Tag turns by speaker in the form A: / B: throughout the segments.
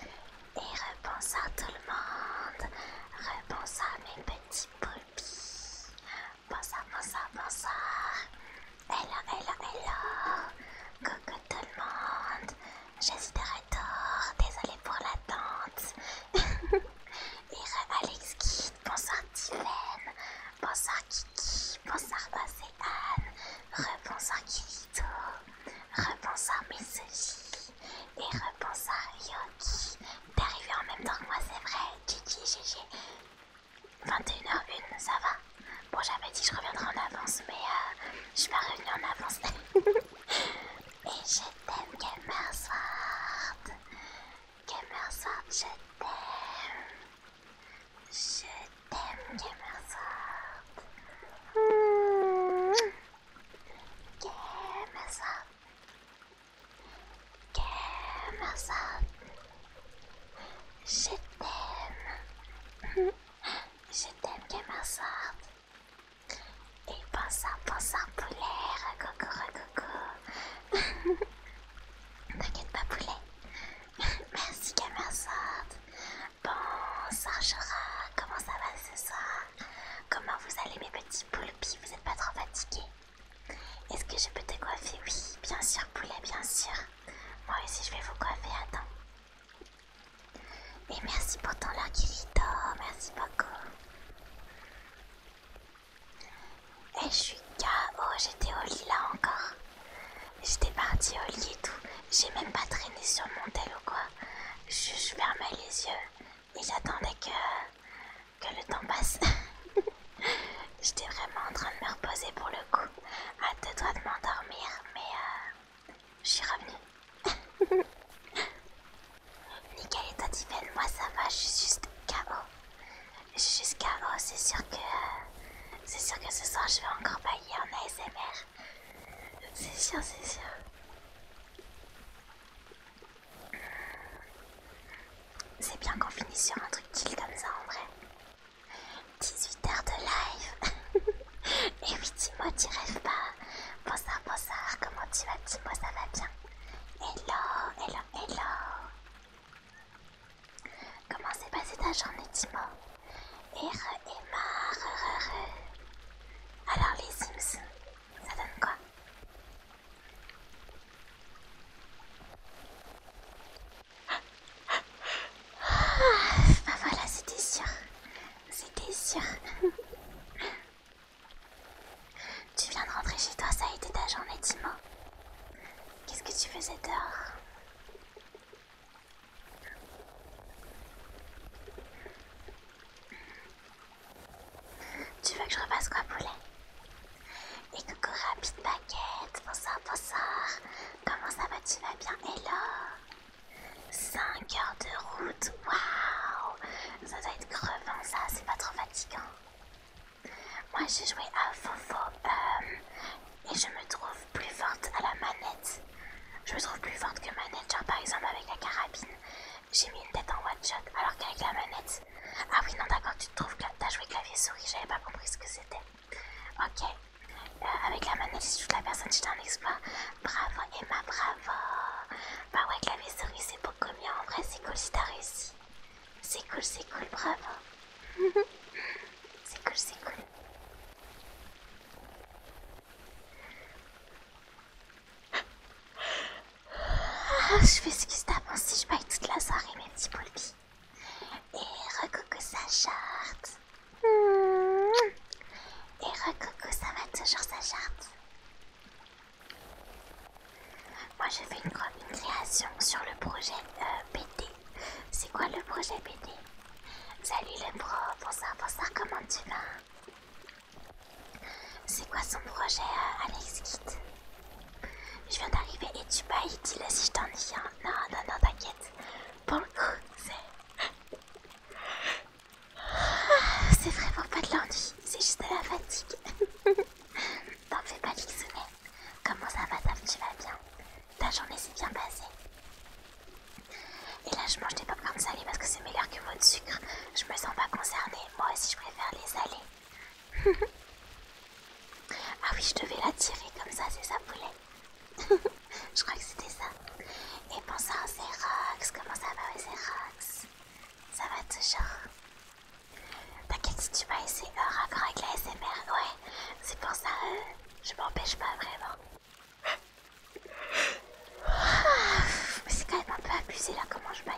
A: Et rebonsoir tout le monde, rebonsoir mes petits poupis bonsoir, bonsoir, bonsoir, hello, hello, hello, coucou tout le monde, j'espère être tort, désolée pour l'attente, et re Alex Kid, bonsoir Tiffen, bonsoir Kiki, bonsoir Anne, rebonsoir Kirito. Repense à Mitsuki et repense à Yoki. T'es arrivé en même temps que moi, c'est vrai. Gigi, GG. 21h01, ça va. Bon, j'avais dit je reviendrai en avance, mais euh, je suis pas revenue en avance.
B: et
A: je t'aime, Gamersword. Gamersword, je t'aime. Je t'aime, Kemersort
B: Get myself.
A: Je t'aime. Je t'aime, Get Et pense à, pense à poulet, recoco, Ne T'inquiète pas poulet. Merci Gamersort. Bon, Sargera, comment ça va ce soir Comment vous allez mes petits poulpis Vous n'êtes pas trop fatigués Est-ce que je peux te coiffer Oui, bien sûr poulet, bien sûr. Moi aussi je vais vous coiffer, attends. Et merci pour ton leur merci beaucoup. Et eh, je suis KO, j'étais au lit là encore. J'étais partie au lit et tout. J'ai même pas traîné sur mon tel ou quoi. Je, fermais les yeux et j'attendais que, que le temps passe. J'étais vraiment en train de me reposer pour le coup. À deux doigts de m'endormir, mais euh, je suis revenue. Nickel et Tiffen, moi ça va, je suis juste KO. Je suis juste KO, c'est sûr que. Euh, c'est sûr que ce soir je vais encore bailler en ASMR. C'est chiant, c'est sûr. C'est bien qu'on finisse sur un truc chill comme ça en vrai. 18 heures de live. Et oui, Timo, tu rêves pas. Bonsoir, bonsoir, comment tu vas, Timo Ça va bien Hello, hello, hello. Comment s'est passée ta journée, Timo et Emma, Alors les Sims, ça donne quoi Ah, bah voilà, c'était sûr. C'était sûr. tu viens de rentrer chez toi, ça a été ta journée, dis-moi. Qu'est-ce que tu faisais dehors tu veux que je repasse quoi, poulet Et coucou, rapide baguette. Bonsoir, bonsoir. Comment ça va Tu vas bien Hello 5 heures de route. Waouh Ça doit être crevant, ça. C'est pas trop fatigant. Moi, j'ai joué à Fofo euh, et je me trouve plus forte à la manette. Je me trouve plus forte que manager par exemple avec la carabine. J'ai mis une tête en one shot alors qu'avec la manette. Ah oui non d'accord tu te trouves que t'as joué clavier souris, j'avais pas compris ce que c'était. Ok. Euh, avec la manette si toute la personne, j'étais un exploit. Bravo Emma, bravo. Bah ouais clavier souris c'est beaucoup mieux en vrai, c'est cool si t'as réussi. C'est cool, c'est cool, bravo. c'est cool, c'est cool. Ah, je fais ce qui tape hein, si je pas toute la soirée, mes petits poulpis. Et recoucou sa charte. Et recoucou ça va toujours sa charte. Moi, j'ai fait une, création sur le projet BD. Euh, C'est quoi le projet BD Salut le pro, bonsoir, bonsoir, comment tu vas c'est quoi son projet, euh, Alex Kit Je viens d'arriver et tu pas dit si je t'ennuie. Non, non, non, t'inquiète. Pour c'est. Ah, c'est vraiment pas de l'ennui, c'est juste de la fatigue. T'en fais pas, mais Comment ça va, ça Tu vas bien Ta journée s'est bien passée et là, je mange des ça salés parce que c'est meilleur que votre sucre. Je me sens pas concernée. Moi aussi, je préfère les salés. ah oui, je devais la tirer comme ça, c'est ça, poulet. je crois que c'était ça. Et pense ça un Rox, Comment ça va, Rox, Ça va toujours. T'inquiète si tu vas essayer un euh, avec la SMR. Ouais, c'est pour ça, euh, je m'empêche pas vraiment. Mais c'est quand même un peu abusé là comment je baille.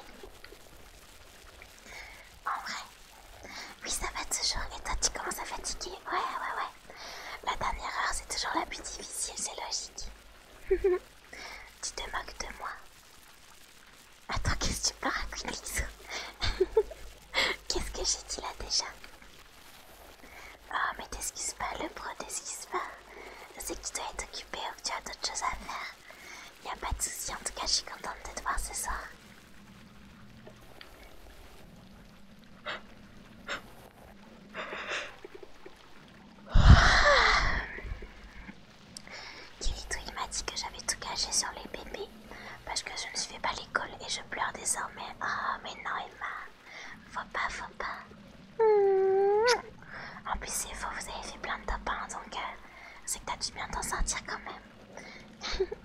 A: En vrai. Oui ça va toujours. Et toi tu commences à fatiguer. Ouais ouais ouais. La dernière heure c'est toujours la plus difficile, c'est logique. tu te moques de moi. Attends, qu'est-ce que tu parles Qu'est-ce que j'ai dit là déjà Oh, mais qu'est-ce qui se passe, le pro t'es ce qui se passe C'est tu doit être occupé ou que tu as d'autres choses à faire. n'y a pas de souci, en tout cas, je suis contente de te voir ce soir. Ah. Kirito, il m'a dit que j'avais tout caché sur les bébés parce que je ne suis pas l'école et je pleure désormais. Oh, mais non, Emma. Faut pas, faut pas.
B: Hmm.
A: En plus, c'est faux, vous avez fait plein de top donc euh, c'est que t'as dû bien t'en sortir quand même.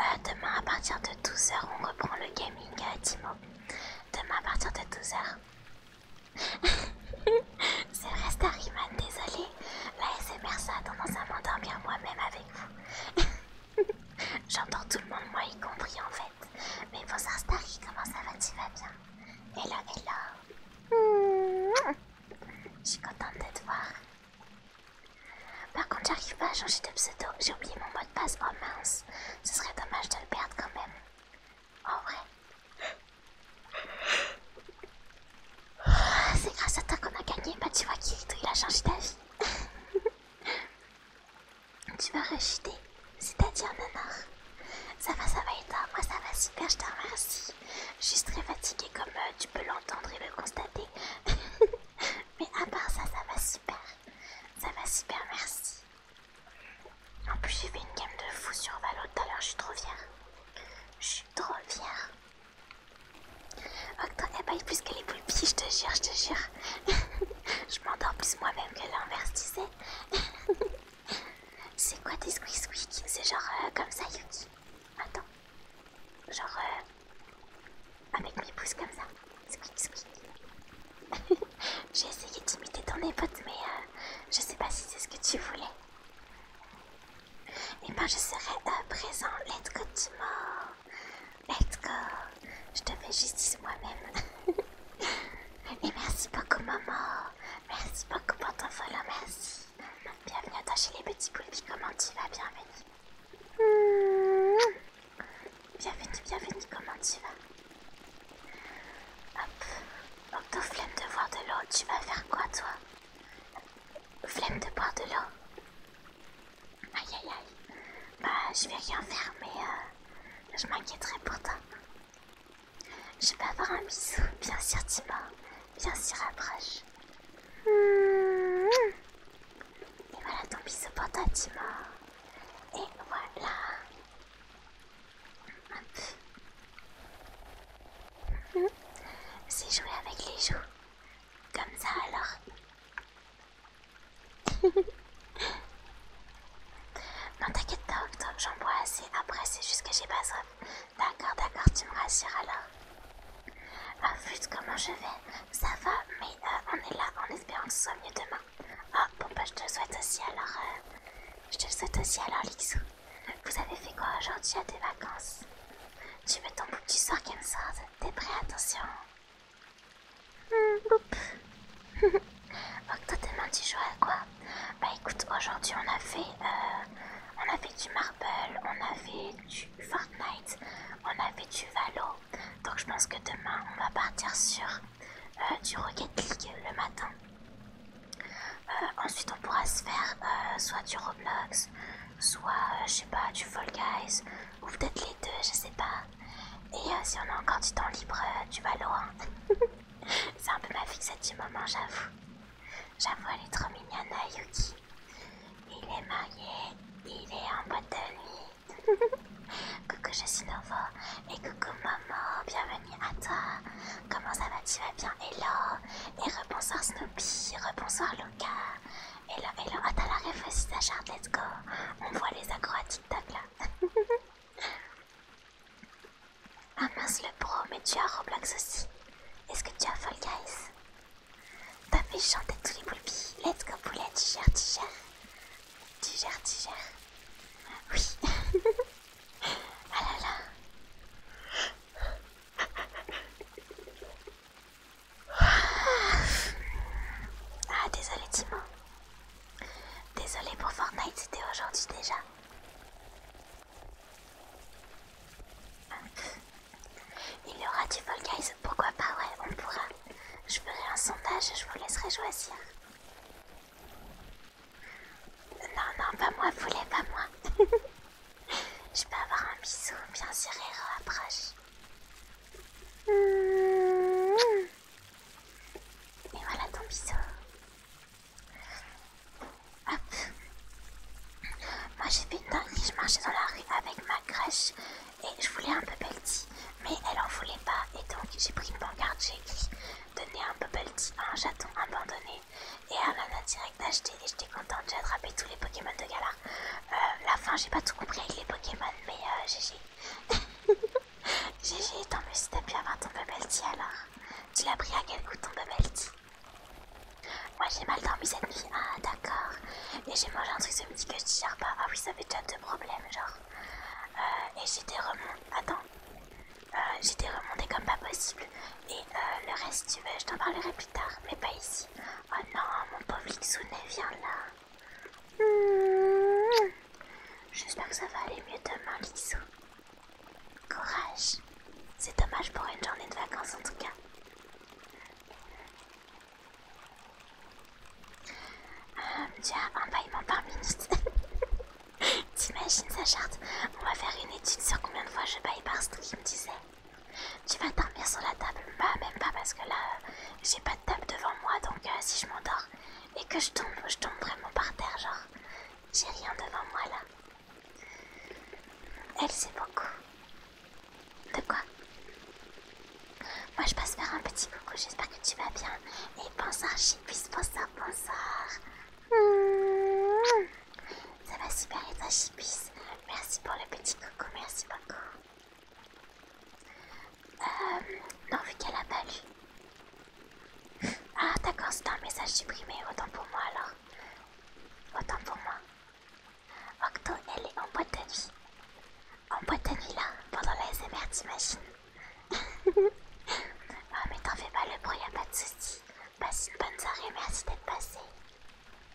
A: Euh, demain, à partir de 12h, on reprend le gaming, euh, Timo. Demain, à partir de 12h. c'est vrai, Starryman, désolé. La SMR, ça a tendance à m'endormir moi-même avec vous. J'entends tout le monde, moi y compris en fait. Mais vos Starry, comment ça va Tu vas bien Hello, hello Je suis contente de te voir. Par contre, j'arrive pas à changer de pseudo. J'ai oublié mon mot de passe. Oh mince, ce serait dommage de le perdre quand même. En vrai. Ah, c'est grâce à toi qu'on a gagné. Bah, tu vois, Kirito, il a changé d'avis. Tu vas racheter, c'est-à-dire nanar. Ça va, ça va et toi Moi ça va super, je te remercie. Je suis très fatiguée comme euh, tu peux l'entendre et le constater. Mais à part ça, ça va super. Ça va super, merci. En plus j'ai fait une gamme de fou sur Valo tout à l'heure, je suis trop fière. Je suis trop fière. Ok oh, abaille plus que les poulpies, je te jure, je te jure. je m'endors plus moi-même que l'inverse, tu sais. C'est quoi des squeak squeak C'est genre euh, comme ça, Yuki. Attends. Genre euh, avec mes pouces comme ça. Squeak squeak. J'ai essayé d'imiter ton épote, mais euh, je sais pas si c'est ce que tu voulais. Et eh ben je serai présent. Let's go, Timo. Let's go. Je te fais justice moi-même. Et merci beaucoup, maman. Merci beaucoup pour ton follow, merci. Bienvenue à toi chez les petits poulpes. Comment tu vas Bienvenue.
B: Hmm.
A: Bienvenue, bienvenue. Comment tu vas Hop. Octo, flemme de boire de l'eau. Tu vas faire quoi, toi Flemme de boire de l'eau Aïe, aïe, aïe. Bah, je vais rien faire, mais euh, je m'inquiéterai pour toi. Je peux avoir un bisou Bien sûr, Tima, Bien sûr, approche. Et voilà ton bisou pour toi, Tima Et voilà. C'est jouer avec les joues. Comme ça, alors non, t'inquiète pas, j'en bois assez. Après, c'est juste que j'ai pas soif. D'accord, d'accord, tu me rassures alors. Ah, comment je vais Ça va, mais euh, on est là en espérant que ce soit mieux demain. Ah, oh, bon, bah, je te souhaite aussi alors. Euh, je te souhaite aussi alors, Lixou. Vous avez fait quoi aujourd'hui à tes vacances Tu veux ton bout du sort, T'es prêt, attention Octo t'as tu joues à quoi Bah écoute aujourd'hui on a fait euh, on a fait du marble, on a fait du Fortnite, on a fait du Valo. Donc je pense que demain on va partir sur euh, du Rocket League le matin. Euh, ensuite on pourra se faire soit du Roblox, soit je sais pas du Fall Guys, ou peut-être les deux, je sais pas. Et si on a encore du temps libre, du Valo. Hein. C'est un peu ma fixette du moment, hein, j'avoue. J'avoue, elle est trop mignonne, hein, Yuki. Il est marié, il est en boîte de
B: nuit.
A: coucou, je suis Novo. Et coucou, maman, bienvenue à toi. Comment ça va, tu vas bien Hello. Et rebonsoir Snoopy, rebonsoir Luca. Hello, hello. Attends, oh, t'as la rêve aussi, Let's go. On voit les acrobatiques à TikTok là. Ah mince le pro, mais tu as Roblox aussi. Est-ce que tu as Fall Guys T'as fait chanter tous les poulpis. Let's go poulet, tigère, tigère, tigère, tigère. Oui. ah là là. Ah désolé Timon. Désolée pour Fortnite, c'était aujourd'hui déjà. Il y aura du Fall Guys, pourquoi pas, ouais, on pourra. Je ferai un sondage, je vous laisserai choisir. Non, non, pas moi, voulez pas moi. je peux avoir un bisou, bien sûr, approche. Et voilà ton bisou. Moi j'ai fait une dingue, je marchais dans la rue avec ma crèche et je voulais un bubble tea, mais elle en voulait pas et donc j'ai pris une pancarte, j'ai écrit donner un bubble tea à un chaton abandonné et à a direct acheté et j'étais contente, j'ai attrapé tous les Pokémon de galard euh, la fin j'ai pas tout compris avec les Pokémon mais j'ai. Euh, GG. GG, tant mieux si t'as pu avoir ton bubble tea alors. Tu l'as pris à quel goût ton bubble tea Moi j'ai mal dormi cette nuit, ah d'accord. Et j'ai mangé un truc ce midi que je gère pas. Ah oui, ça fait déjà deux problèmes, genre. Euh, et j'étais euh, remontée. Attends. j'étais comme pas possible. Et euh, le reste, tu veux, je t'en parlerai plus tard, mais pas ici. Oh non, mon pauvre Lixoune, viens là. Hmm. J'espère que ça va aller mieux demain, lissou. Courage. C'est dommage pour une journée de vacances en tout cas. Hum, tu as un baillement par minute. T'imagines sa charte On va faire une étude sur combien de fois je baille par stream, me disait. Tu vas dormir sur la table Bah même pas parce que là, euh, j'ai pas de table devant moi, donc euh, si je m'endors, et que je tombe, je tombe vraiment par terre, genre j'ai rien devant moi là. Elle sait beaucoup. De quoi Moi je passe faire un petit coucou, j'espère que tu vas bien. Et bonsoir Chipis, bonsoir, bonsoir. Ça va super et toi Merci pour le petit coucou, merci beaucoup. Euh, non, vu qu'elle a pas lu. Ah, d'accord, c'est un message supprimé. Autant pour moi alors. Autant pour moi. Octo, elle est en boîte de nuit. En boîte de nuit là, pendant la SMR, t'imagines Ah, mais t'en fais pas le bruit, y'a pas de soucis. Passe une bonne soirée, merci d'être passé.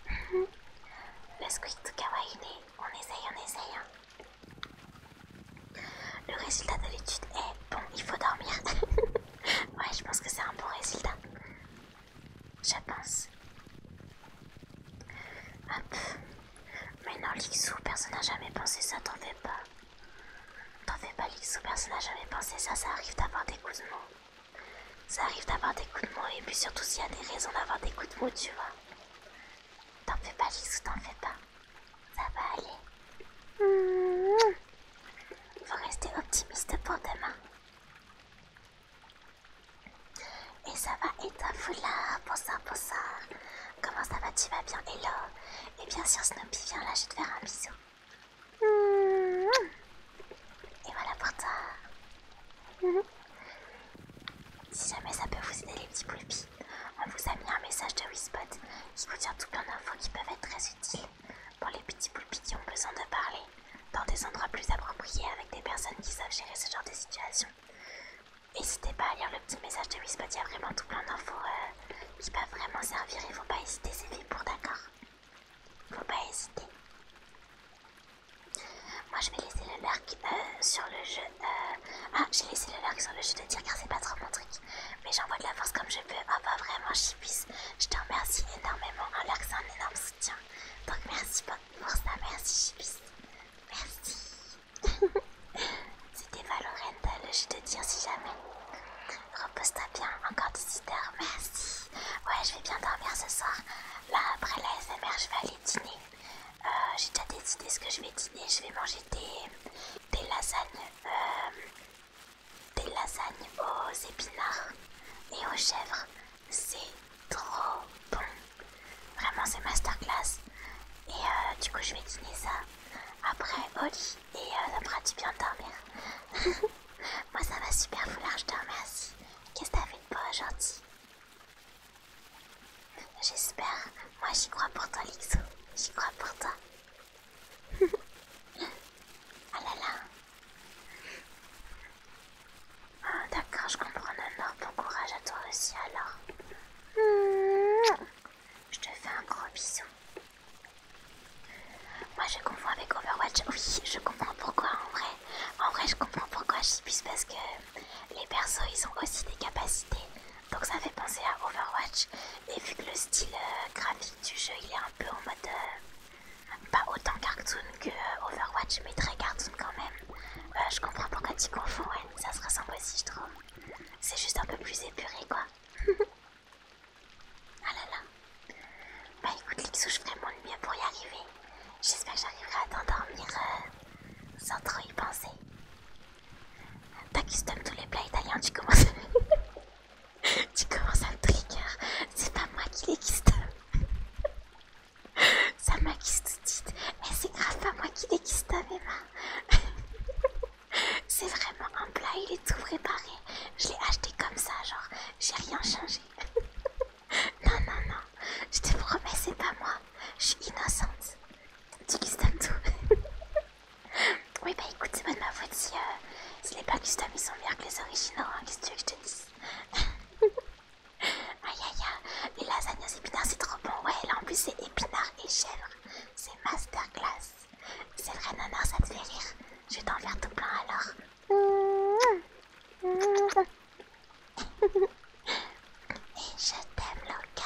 A: Mhm. le squid tout kawaii, on essaye, on essaye. Hein. Le résultat de l'étude est bon, il faut dormir. ouais, je pense que c'est un bon résultat. Je pense. Hop. Mais non, Lixou, personne n'a jamais pensé ça, t'en fais pas. T'en fais pas, Lixou, personne n'a jamais pensé ça, ça arrive d'avoir des coups de mou. Ça arrive d'avoir des coups de mots et puis surtout s'il y a des raisons d'avoir des coups de mou, tu vois. T'en fais pas, Lixou, t'en fais pas. Ça va aller. il Faut rester optimiste pour demain. Et ça va, et pour ça, pour ça. Comment ça va, tu vas bien, hello. Et bien sûr Snoopy, vient là, je vais te faire un bisou. Et voilà pour toi. Si jamais ça peut vous aider les petits poules on vous a mis un message de Wispot qui contient tout plein d'infos qui peuvent être très utiles pour les petits poulpis qui ont besoin de parler dans des endroits plus appropriés avec des personnes qui savent gérer ce genre de situation. N'hésitez pas à lire le petit message de Wispot, il y a vraiment tout plein d'infos euh, qui peuvent vraiment servir et faut pas hésiter, c'est fait pour d'accord. Faut pas hésiter. Moi je vais laisser le euh, sur le jeu. Euh, ah, j'ai laissé le lurk sur le jeu de tir car c'est pas trop mon truc. Mais j'envoie de la force comme je peux. Ah bah vraiment, Chibis, je te remercie énormément. Hein, Alors que c'est un énorme soutien. Donc merci pour ça, merci Chibis, Merci. C'était Valorant, euh, je vais te dire si jamais. Repose-toi bien, encore 18 h merci. Ouais, je vais bien dormir ce soir. Là, après la SMR, je vais aller dîner. Euh, j'ai déjà décidé ce que je vais dîner. Je vais manger des, des lasagnes, euh, des lasagnes aux épinards et aux chèvres. C'est trop bon. Vraiment, c'est masterclass. Et euh, du coup, je vais dîner ça après au lit et euh, ça fera du bien de dormir. Moi, ça va super foulard, je te remercie. Qu'est-ce que t'as fait de beau aujourd'hui J'espère. Moi, j'y crois pour toi, Lixo. J'y crois pour toi ah là là. Ah d'accord, je comprends Nanor. Bon courage à toi aussi alors. Je te fais un gros bisou. Moi je comprends avec Overwatch. Oui, je comprends pourquoi en vrai. En vrai, je comprends pourquoi je suis parce que les persos ils ont aussi des capacités. Donc ça fait penser à Overwatch. Et vu que le style euh, graphique du jeu il est un peu en mode... Euh, pas autant cartoon que euh, Overwatch mais très cartoon quand même. je comprends pourquoi tu confonds, Ça se ressemble aussi je trouve. C'est juste un peu plus épuré quoi. ah là là. Bah écoute Lixou, je ferai mon mieux pour y arriver. J'espère que j'arriverai à t'endormir sans trop y penser. T'as tous les plats italiens, tu commences à... tu commences à me trigger. C'est pas moi qui les custom, Ça m'a tout Et eh, c'est grave pas moi qui les custom hein, Emma. c'est vraiment un plat, il est tout préparé. Je l'ai acheté comme ça, genre, j'ai rien changé. non, non, non, je te promets, c'est pas moi. Je suis innocente. Tu customes tout. Oui, bah écoute, c'est de ma faute si, euh, les pâtes custom ils sont meilleurs que les originaux, hein. qu'est-ce tu veux que je te dise Aïe aïe aïe, les lasagnes aux épinards c'est trop bon, ouais, là en plus c'est épinards et chèvre, c'est masterclass. C'est vrai, Nana, ça te fait rire, je vais t'en
B: faire tout plein alors. Et je t'aime, Loka.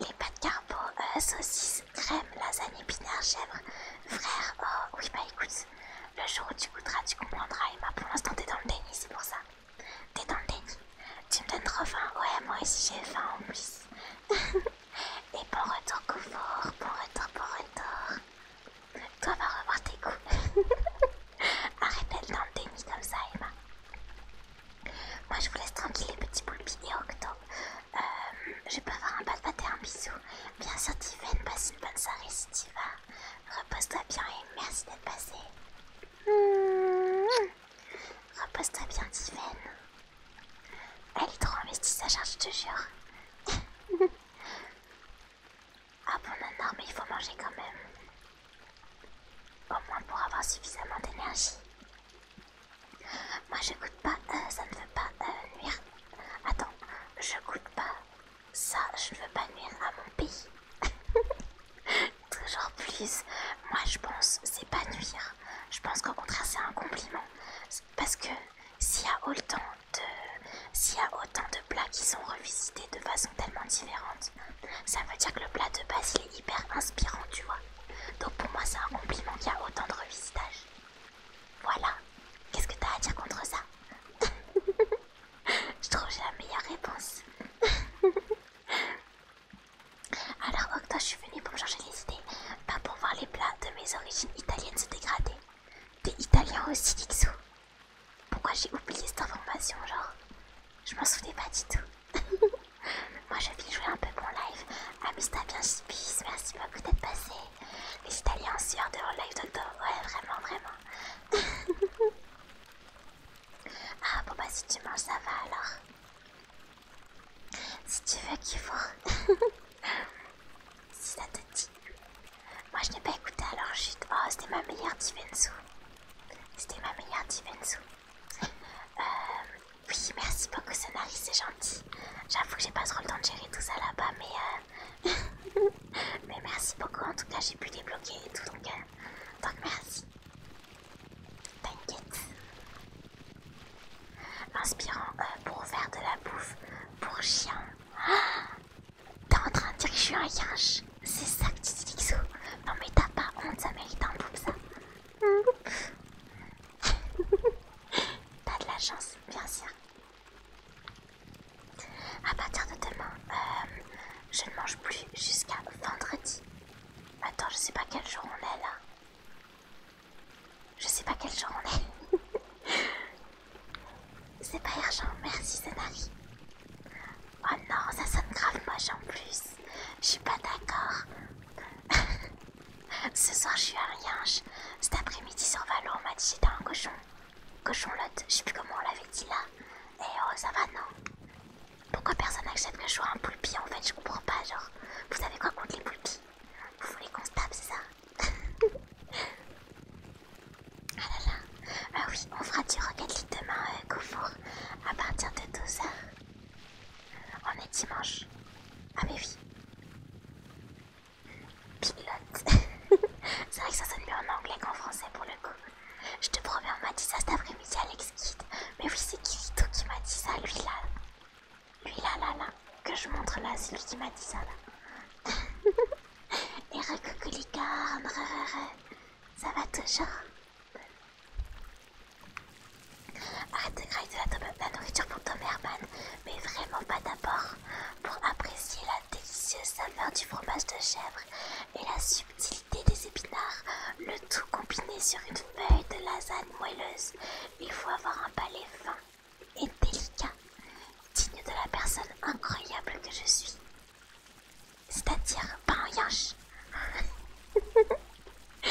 A: les pâtes carbo, euh, saucisses, crème, lasagne, épinards, chèvre. Frère, oh oui, bah écoute, le jour où tu goûteras, tu comprendras. Emma, bah, pour l'instant, t'es dans le déni, c'est pour ça. T'es dans le déni. Tu me donnes trop faim. Ouais, moi aussi, j'ai faim en plus. Et bon retour, confort. Bon retour, bon retour. Toi, va revoir tes coups. Arrête d'être dans le déni comme ça, Emma. Moi, je vous laisse tranquille, les petits poulpis et octobre. Euh, je vais pas avoir un de et un bisou. Bien sûr, Tiven passe une bonne soirée si tu vas. Repose-toi bien et merci d'être passé.
B: Mmh.
A: Repose-toi bien, Tiven. Elle est trop investie, sa charge, je te jure. ah bon, non, non, mais il faut manger quand même. Au moins pour avoir suffisamment d'énergie. Moi je goûte pas, euh, ça ne veut pas euh, nuire. Attends, je goûte pas ça, je ne veux pas nuire à mon pays. Toujours plus. Moi je pense, c'est pas nuire. Je pense qu'au contraire, c'est un compliment. Parce que s'il y a autant de. S'il y a autant de plats qui sont revisités de façon tellement différente, ça veut dire que le plat de base il est hyper inspirant, tu vois. Donc pour moi c'est un compliment qu'il y a autant de revisitages. Voilà. Qu'est-ce que t'as à dire contre ça Je trouve que j'ai la meilleure réponse. Alors, toi je suis venue pour me changer les idées. Pas pour voir les plats de mes origines italiennes se dégrader. T'es italien aussi, Dixou Pourquoi j'ai oublié cette information, genre Je m'en souvenais pas du tout. Moi, je vais jouer un peu mon live. Amuse-toi bien, Spice. Merci peut-être passer. Les Italiens en sueur de live d'octobre. Ouais, vraiment, vraiment. ah, bon, bah si tu manges, ça va alors. Si tu veux qu'il faut. si ça te dit. Moi, je n'ai pas écouté alors, chute. Oh, c'était ma meilleure divensu C'était ma meilleure divensu Euh, oui, merci beaucoup, Sonari, c'est gentil. J'avoue que j'ai pas trop le temps de gérer tout ça là-bas, mais. Euh... mais merci beaucoup, en tout cas, j'ai pu débloquer et tout, donc. Euh, donc merci. T'inquiète. Inspirant euh, pour faire de la bouffe pour chien. T'es en train de dire que je suis un yinche C'est ça que tu dis, Lixo Non mais t'as pas honte, ça mérite un bouffe ça. Pas de la chance, bien sûr. À partir de demain, euh, je ne mange plus jusqu'à vendredi. Attends, je sais pas quel jour on est là. Je sais pas quel jour on est. c'est pas urgent, merci Zenari. Oh non, ça sonne grave moche en plus. Je suis pas d'accord. Ce soir, je suis à rien. Cet après-midi, sur Valo, on m'a dit j'étais un cochon. Cochon lot, je sais plus comment on l'avait dit là. Et eh, oh, ça va, non Pourquoi personne n'accepte que je sois un poulpi En fait, je comprends pas. Genre, vous savez quoi contre les poulpis Vous voulez qu'on se tape, c'est ça Ah là là. Ah oui, on fera du Rocket demain, au euh, Koufour, à partir de 12h. On est dimanche. Ah mais oui. Pilote. C'est vrai que ça sonne mieux en anglais qu'en français pour le coup. Je te promets, on m'a dit ça cet après-midi, Alex Kidd. Mais oui, c'est Kirito qui m'a dit ça, lui là. Lui là, là, là. Que je montre là, c'est lui qui m'a dit ça là. Et recoucou les ça va toujours. Arrête de craquer de la, la nourriture pour Tom Herman, mais vraiment pas d'abord, pour apprécier la délicieuse saveur du fromage de chèvre et la subtilité des épinards, le tout combiné sur une feuille de lasagne moelleuse. Il faut avoir un palais fin et délicat, digne de la personne incroyable que je suis. C'est-à-dire pas un yanche.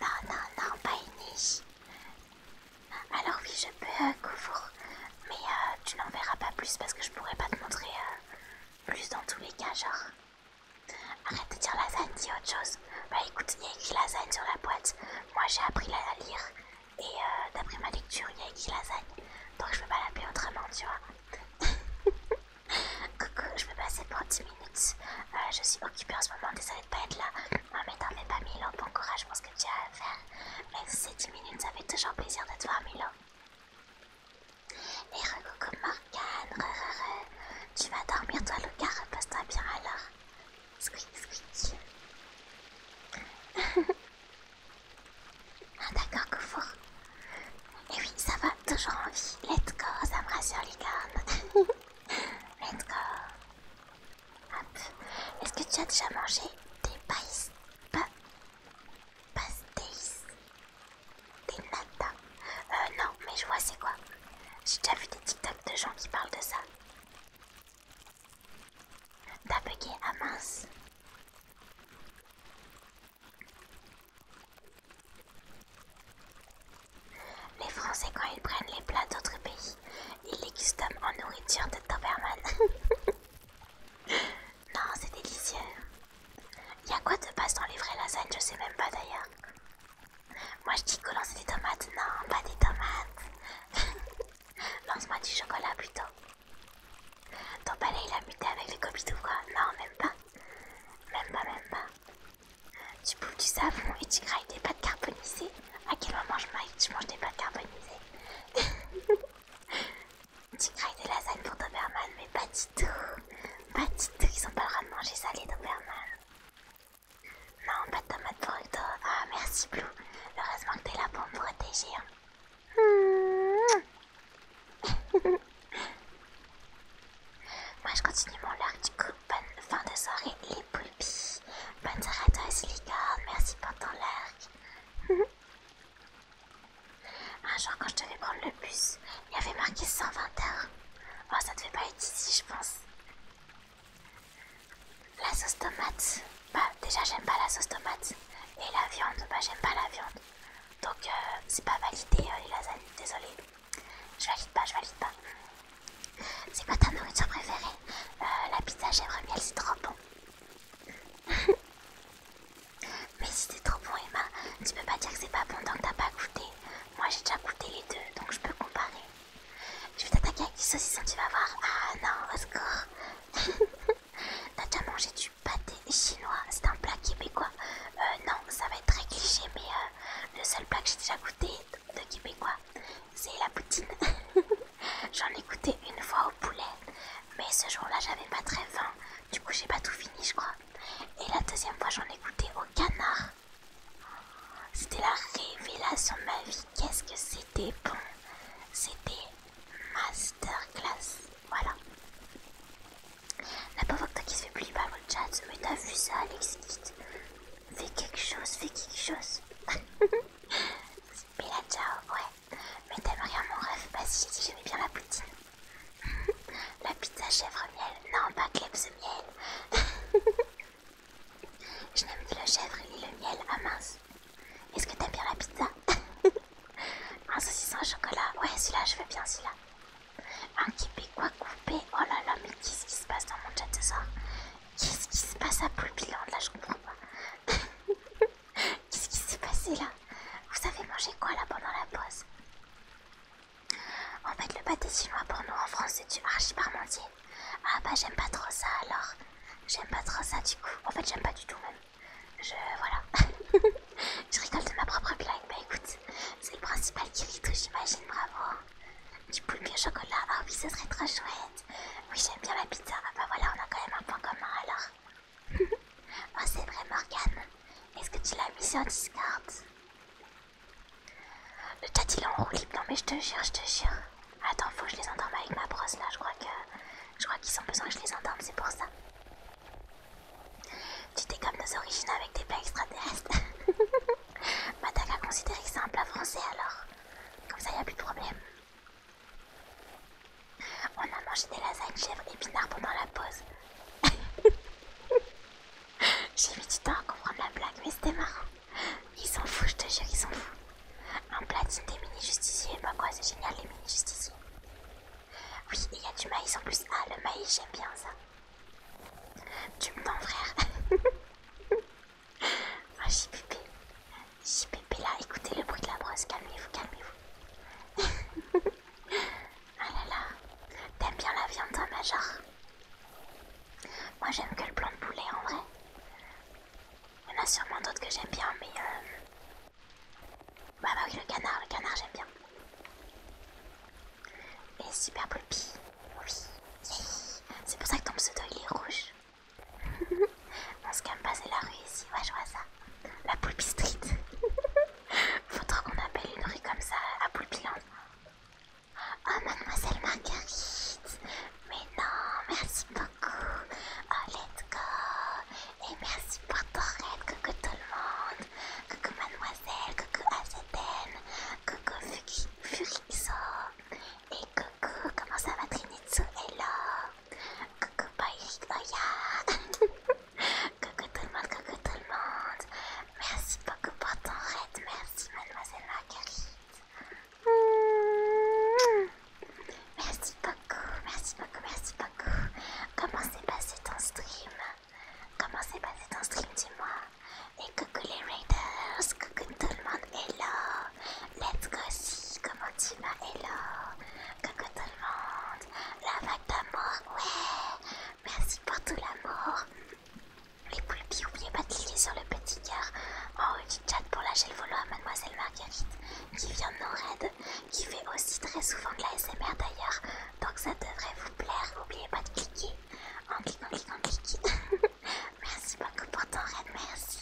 A: non, non, non, pas une Alors oui, je peux euh, couvrir, mais euh, tu n'en verras pas plus parce que je pourrais pas te montrer euh, plus dans tous les cas, genre. Arrête de dire lasagne, dis autre chose. Bah écoute, il y a écrit lasagne sur la boîte. Moi j'ai appris à lire et d'après ma lecture, il y a écrit lasagne. Donc je peux pas l'appeler autrement, tu vois. Coucou, je vais passer pour 10 minutes. Euh, je suis occupée en ce moment, désolée de pas être là. Ah, mais t'en mais pas Milo, bon courage pour ce que tu as à faire. Mais ces 10 minutes, ça fait toujours plaisir de te voir, Milo. Et re-coucou Morgane, Tu vas dormir, toi, Lucas, repasse toi bien alors. Squeak, squeak. ah, d'accord, Koufour. Et eh oui, ça va, toujours en vie. Let's go, ça me rassure, licorne. Let's go. Hop. Est-ce que tu as déjà mangé des pastéis Des nata Euh, non, mais je vois c'est quoi. J'ai déjà vu des TikTok de gens qui parlent de ça.
B: T'as bugué à ah mince.
A: Les Français, quand ils prennent les plats d'autres pays, ils les custom en nourriture de Doberman. non, c'est délicieux. Il y a quoi de passe dans les vraies lasagnes Je sais même pas d'ailleurs. Moi je dis que c'est des tomates. Non, pas des tomates. Lance-moi du chocolat plutôt. Ton palais il a muté avec les copies ou quoi Non, même pas. Même pas, même pas. Tu bouffes du savon et tu grailles des pâtes carbonisées. À quel moment je, je mange des pâtes carbonisées Tu grailles des lasagnes pour Doberman, mais pas du tout. Pas du tout, ils ont pas le droit de manger ça les Doberman. Non, pas de tomates pour Ah, merci Blue. Heureusement que t'es là pour me protéger. Hein. Hmm. Moi je continue mon lurk du coup. Bonne fin de soirée les poulpis. Bonne soirée merci pour ton larc. Un jour quand je devais prendre le bus, il y avait marqué 120 heures. Oh ça devait pas être ici je pense. La sauce tomate. Bah déjà j'aime pas la sauce tomate. Et la viande, bah j'aime pas la viande. Donc euh, c'est pas validé euh, les lasagnes, désolé. Je valide pas, je valide pas. C'est quoi ta nourriture préférée euh, La pizza, chèvre-miel, c'est trop bon. Mais si c'est trop bon, Emma, tu peux pas dire que c'est pas bon tant que t'as pas goûté. Moi j'ai déjà goûté les deux, donc je peux comparer. Je vais t'attaquer avec du saucisson, tu vas voir. Ah non, au secours. t'as déjà mangé du pâté chinois, c'est un plat québécois. Euh, non, ça va être très cliché, mais euh, le seul plat que j'ai déjà goûté de québécois, c'est la poutine. J'en ai goûté une fois au poulet, mais ce jour-là, j'avais pas très faim. Du coup, j'ai pas tout fini, je crois. Et la deuxième fois, j'en ai goûté au canard. C'était la révélation de ma vie. Qu'est-ce que c'était bon C'était masterclass. Voilà. La pauvre toi qui se fait plus par le chat. Mais t'as vu ça, Alex Fais quelque chose, fais quelque chose. Bella, ciao, ouais. Mais t'aimes rien mon rêve Bah si, j'ai dit j'aimais bien la poutine. la pizza chèvre miel. Non, pas cleps miel. Je n'aime que le chèvre et le miel. Ah mince. Est-ce que t'aimes bien la pizza Un saucisson au chocolat. Ouais, celui-là, je veux bien celui-là. Un quoi coupé. Oh là là, mais qu'est-ce qui se passe dans mon chat de ça Qu'est-ce qui se passe à bilan Là, je comprends pas. qu'est-ce qui s'est passé là Vous avez mangé quoi là pendant la pause En fait, le pâté chinois pour nous en France, c'est du archi parmentier. Ah bah, j'aime pas trop ça alors. J'aime pas trop ça du coup. En fait, j'aime pas du tout même. Je. Voilà. je rigole de ma propre blague. Bah écoute, c'est le principal qui j'imagine, bravo. Du poulet au chocolat, ah oui, ce serait trop chouette. Oui, j'aime bien la pizza, ah bah voilà, on a quand même un point commun alors. oh, c'est vrai, Morgane. Est-ce que tu l'as mis sur Discord Le chat il est en roue non mais je te jure, je te jure. Attends, faut que je les endorme avec ma brosse là, je crois que. Je crois qu'ils ont besoin que je les endorme, c'est pour ça. Tu t'es comme nos originaux avec des plats extraterrestres. Madak bah, a considéré que c'est un plat français alors. Comme ça, il a plus de problème. On a mangé des lasagnes chèvres épinards pendant la pause. J'ai mis du temps à comprendre la blague, mais c'était marrant. Ils s'en fous je te jure, ils s'en foutent. Un platine des mini-justiciers, bah quoi, c'est génial les mini-justiciers. Oui, il y a du maïs en plus. Ah, le maïs, j'aime bien ça. Tu me donnes frère. Ah, JPP. JPP là, écoutez le bruit de la brosse, calmez-vous, calmez-vous. ah là là. T'aimes bien la viande, ma Major Moi, j'aime que le blanc de poulet en vrai. Il y en a sûrement d'autres que j'aime bien, mais. Euh... bah, bah oui, le canard, le canard, j'aime bien. Et Super Poulpi! oui, c'est pour ça que ton pseudo il est rouge. On se calme pas, c'est la rue ici, ouais je vois ça. La Poulpi Street. Faudra qu'on appelle une rue comme ça à Poulpiland. Hein. Oh mademoiselle Marguerite, mais non, merci beaucoup. Oh let's go. Et merci pour ton raid, coucou tout le monde. coco mademoiselle, coco. Ah, coucou Fuki, Furixo, et coucou, comment ça va Trinitsu, hello, coucou Bayrik, oh coucou tout le monde, coucou tout le monde, merci beaucoup pour ton raid, merci
B: mademoiselle Marguerite.
A: Merci beaucoup, merci beaucoup, merci beaucoup. Comment s'est passé ton stream comment s'est passé ton stream, dis-moi. Et coucou les Raiders, coucou tout le monde, hello. Let's go si, comment tu vas, hello. Coucou tout le monde, la vague d'amour, ouais. Merci pour tout l'amour. Les poulpis, n'oubliez pas de cliquer sur le petit cœur en haut du chat pour lâcher le volo à Mademoiselle Marguerite qui vient de nos raids, qui fait aussi très souvent de la SMR d'ailleurs donc ça devrait vous plaire. N'oubliez pas de cliquer en cliquant, en cliquant, en cliquant. merci beaucoup pour ton raid, merci.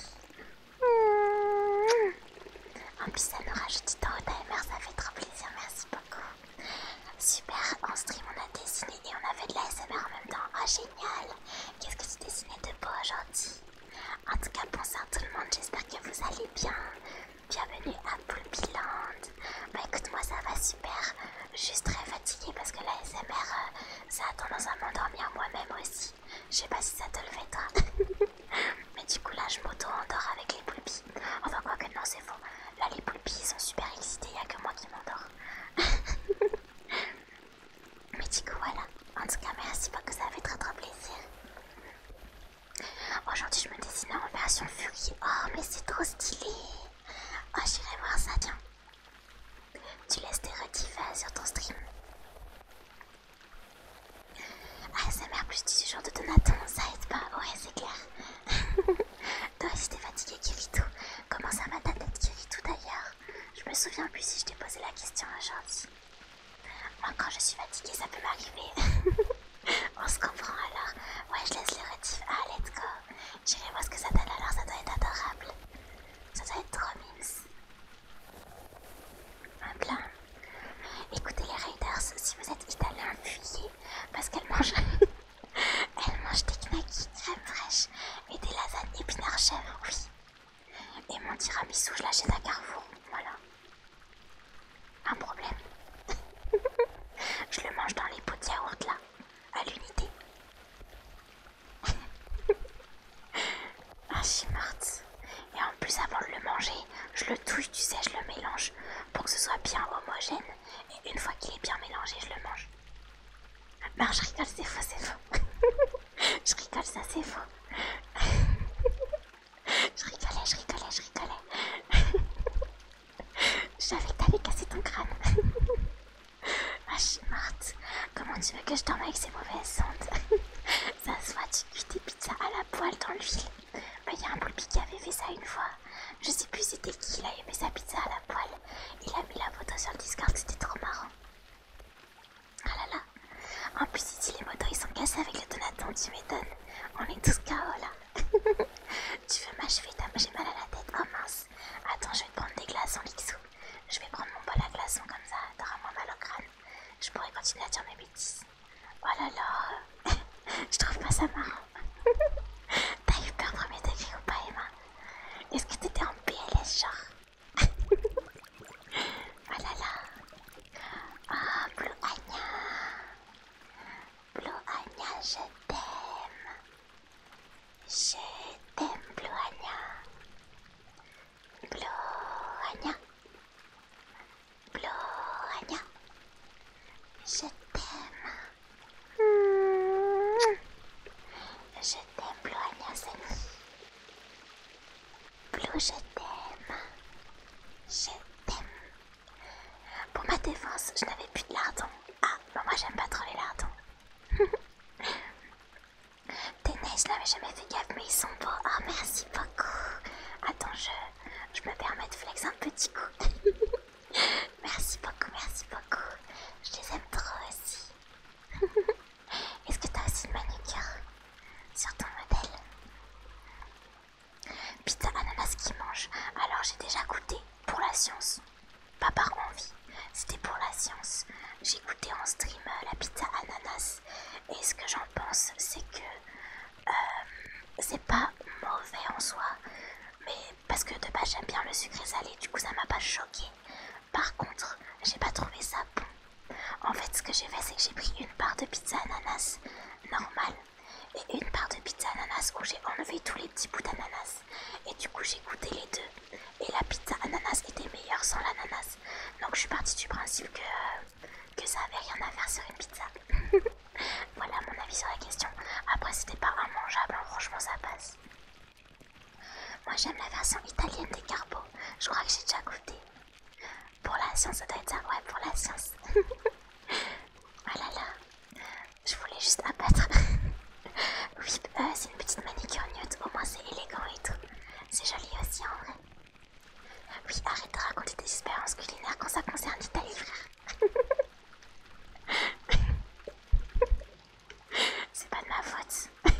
A: En plus, ça nous rajoute du temps au timer, ça fait trop plaisir, merci beaucoup. Super, en stream, on a dessiné et on a fait de la SMR en même temps. Oh, génial! Qu'est-ce que tu dessinais de beau aujourd'hui? En tout cas, bonsoir tout le monde, j'espère que vous allez bien bienvenue à Poulpiland. Bah écoute, moi ça va super, juste très fatiguée parce que la SMR, euh, ça a tendance à m'endormir moi-même aussi. Je sais pas si ça te le fait toi. Mais du coup là je m'auto-endors avec les poulpis. Enfin quoi que non c'est faux. Là les poulpis ils sont super excités, il a que moi qui m'endors. Mais du coup voilà. En tout cas merci beaucoup, ça fait très très plaisir. Aujourd'hui je me dessine en version furie. Oh mais c'est trop stylé Oh, j'irai voir ça, tiens. Tu laisses tes retifs sur ton stream. Ah, c'est mère plus du genre de Donaton, ça aide pas. Ouais, c'est clair. Toi aussi t'es fatigué, Kirito. Comment ça va ta tête, Kirito, d'ailleurs Je me souviens plus si je t'ai posé la question aujourd'hui. Moi, quand je suis fatiguée, ça peut m'arriver. On se comprend alors. Ouais, je laisse les rétifs. Ah, let's go. J'irai voir ce que ça donne alors, ça doit être adorable. Ça doit être trop mince Un Écoutez les Raiders, si vous êtes italien, fuyez. Parce qu'elle mange. Elle mange des knackis, crème fraîche et des lasagnes épinards chèvres, oui. Et mon tiramisu, je l'achète à Carrefour, voilà un problème. Je le mange dans les pots de yaourt là, à l'unité. ah, je suis morte. Et en plus, avant de le manger, je le touche, tu sais, je le mélange pour que ce soit bien homogène. Et une fois qu'il est bien mélangé, je le mange. Non, je rigole, c'est faux, c'est faux. je rigole, ça c'est faux. je rigolais, je rigolais, je rigolais. J'avais savais que t'allais casser ton crâne. ah, je Comment tu veux que je dorme avec ces mauvaises ondes Ça se voit, tu cuis des pizzas à la poêle dans l'huile. Il y a un poulpi qui avait fait ça une fois. Je sais plus c'était qui, il a aimé sa pizza à la poêle. Il a mis la photo sur le Discord, c'était trop marrant. Ah là là. En plus, ici, les motos, ils sont cassés avec le Donaton, tu m'étonnes. On est tous KO là. Tu veux m'achever J'ai mal à la tête. Oh mince. Attends, je vais te prendre des glaçons, Lixou. Je vais prendre mon bol à glaçons comme ça. T'auras moins mal au crâne. Je pourrais continuer à dire mes bêtises. Oh là là. je trouve pas ça marrant. T'as eu peur premier degré ou pas, Emma Est-ce que t'étais en PLS, genre Oh là là.
B: Oh, Blue Anya. Blue Anya, je t'aime. Je t'aime, Blue Anya. Blue Anya. Blue Anya. Je t'aime. Mmh. Je t'aime, Blue Anya, Sani. Blue, je t'aime. Je t'aime.
A: Pour ma défense, je n'avais plus de lardons. Ah, mais moi j'aime pas trop les lardons. Tes neiges, je n'avais jamais fait gaffe, mais ils sont beaux. Oh, merci beaucoup. Attends, je, je me permets de flex un petit coup. merci beaucoup, merci beaucoup. Je les aime trop aussi. Est-ce que t'as aussi une manucure sur ton modèle Pizza ananas qui mange. Alors j'ai déjà goûté pour la science. Pas par envie, c'était pour la science. J'ai goûté en stream euh, la pizza ananas. Et ce que j'en pense, c'est que euh, c'est pas mauvais en soi. Mais parce que de base j'aime bien le sucré salé, du coup ça m'a pas choqué. Par contre, j'ai pas trouvé ça bon. En fait, ce que j'ai fait, c'est que j'ai pris une part de pizza ananas normale et une part de pizza ananas où j'ai enlevé tous les petits bouts d'ananas. Et du coup, j'ai goûté les deux. Et la pizza ananas était meilleure sans l'ananas. Donc, je suis partie du principe que, euh, que ça avait rien à faire sur une pizza. voilà mon avis sur la question. Après, c'était pas un mangeable hein. franchement, ça passe. Moi, j'aime la version italienne des carbo. Je crois que j'ai déjà goûté. Pour la science, ça doit être ça. Ouais, pour la science. oh là là. Je voulais juste abattre. oui, euh, c'est une petite manicure nude. Au moins, c'est élégant et tout. C'est joli aussi en vrai. Oui, arrête de raconter des expériences culinaires quand ça concerne l'Italie, frère. c'est pas de ma faute.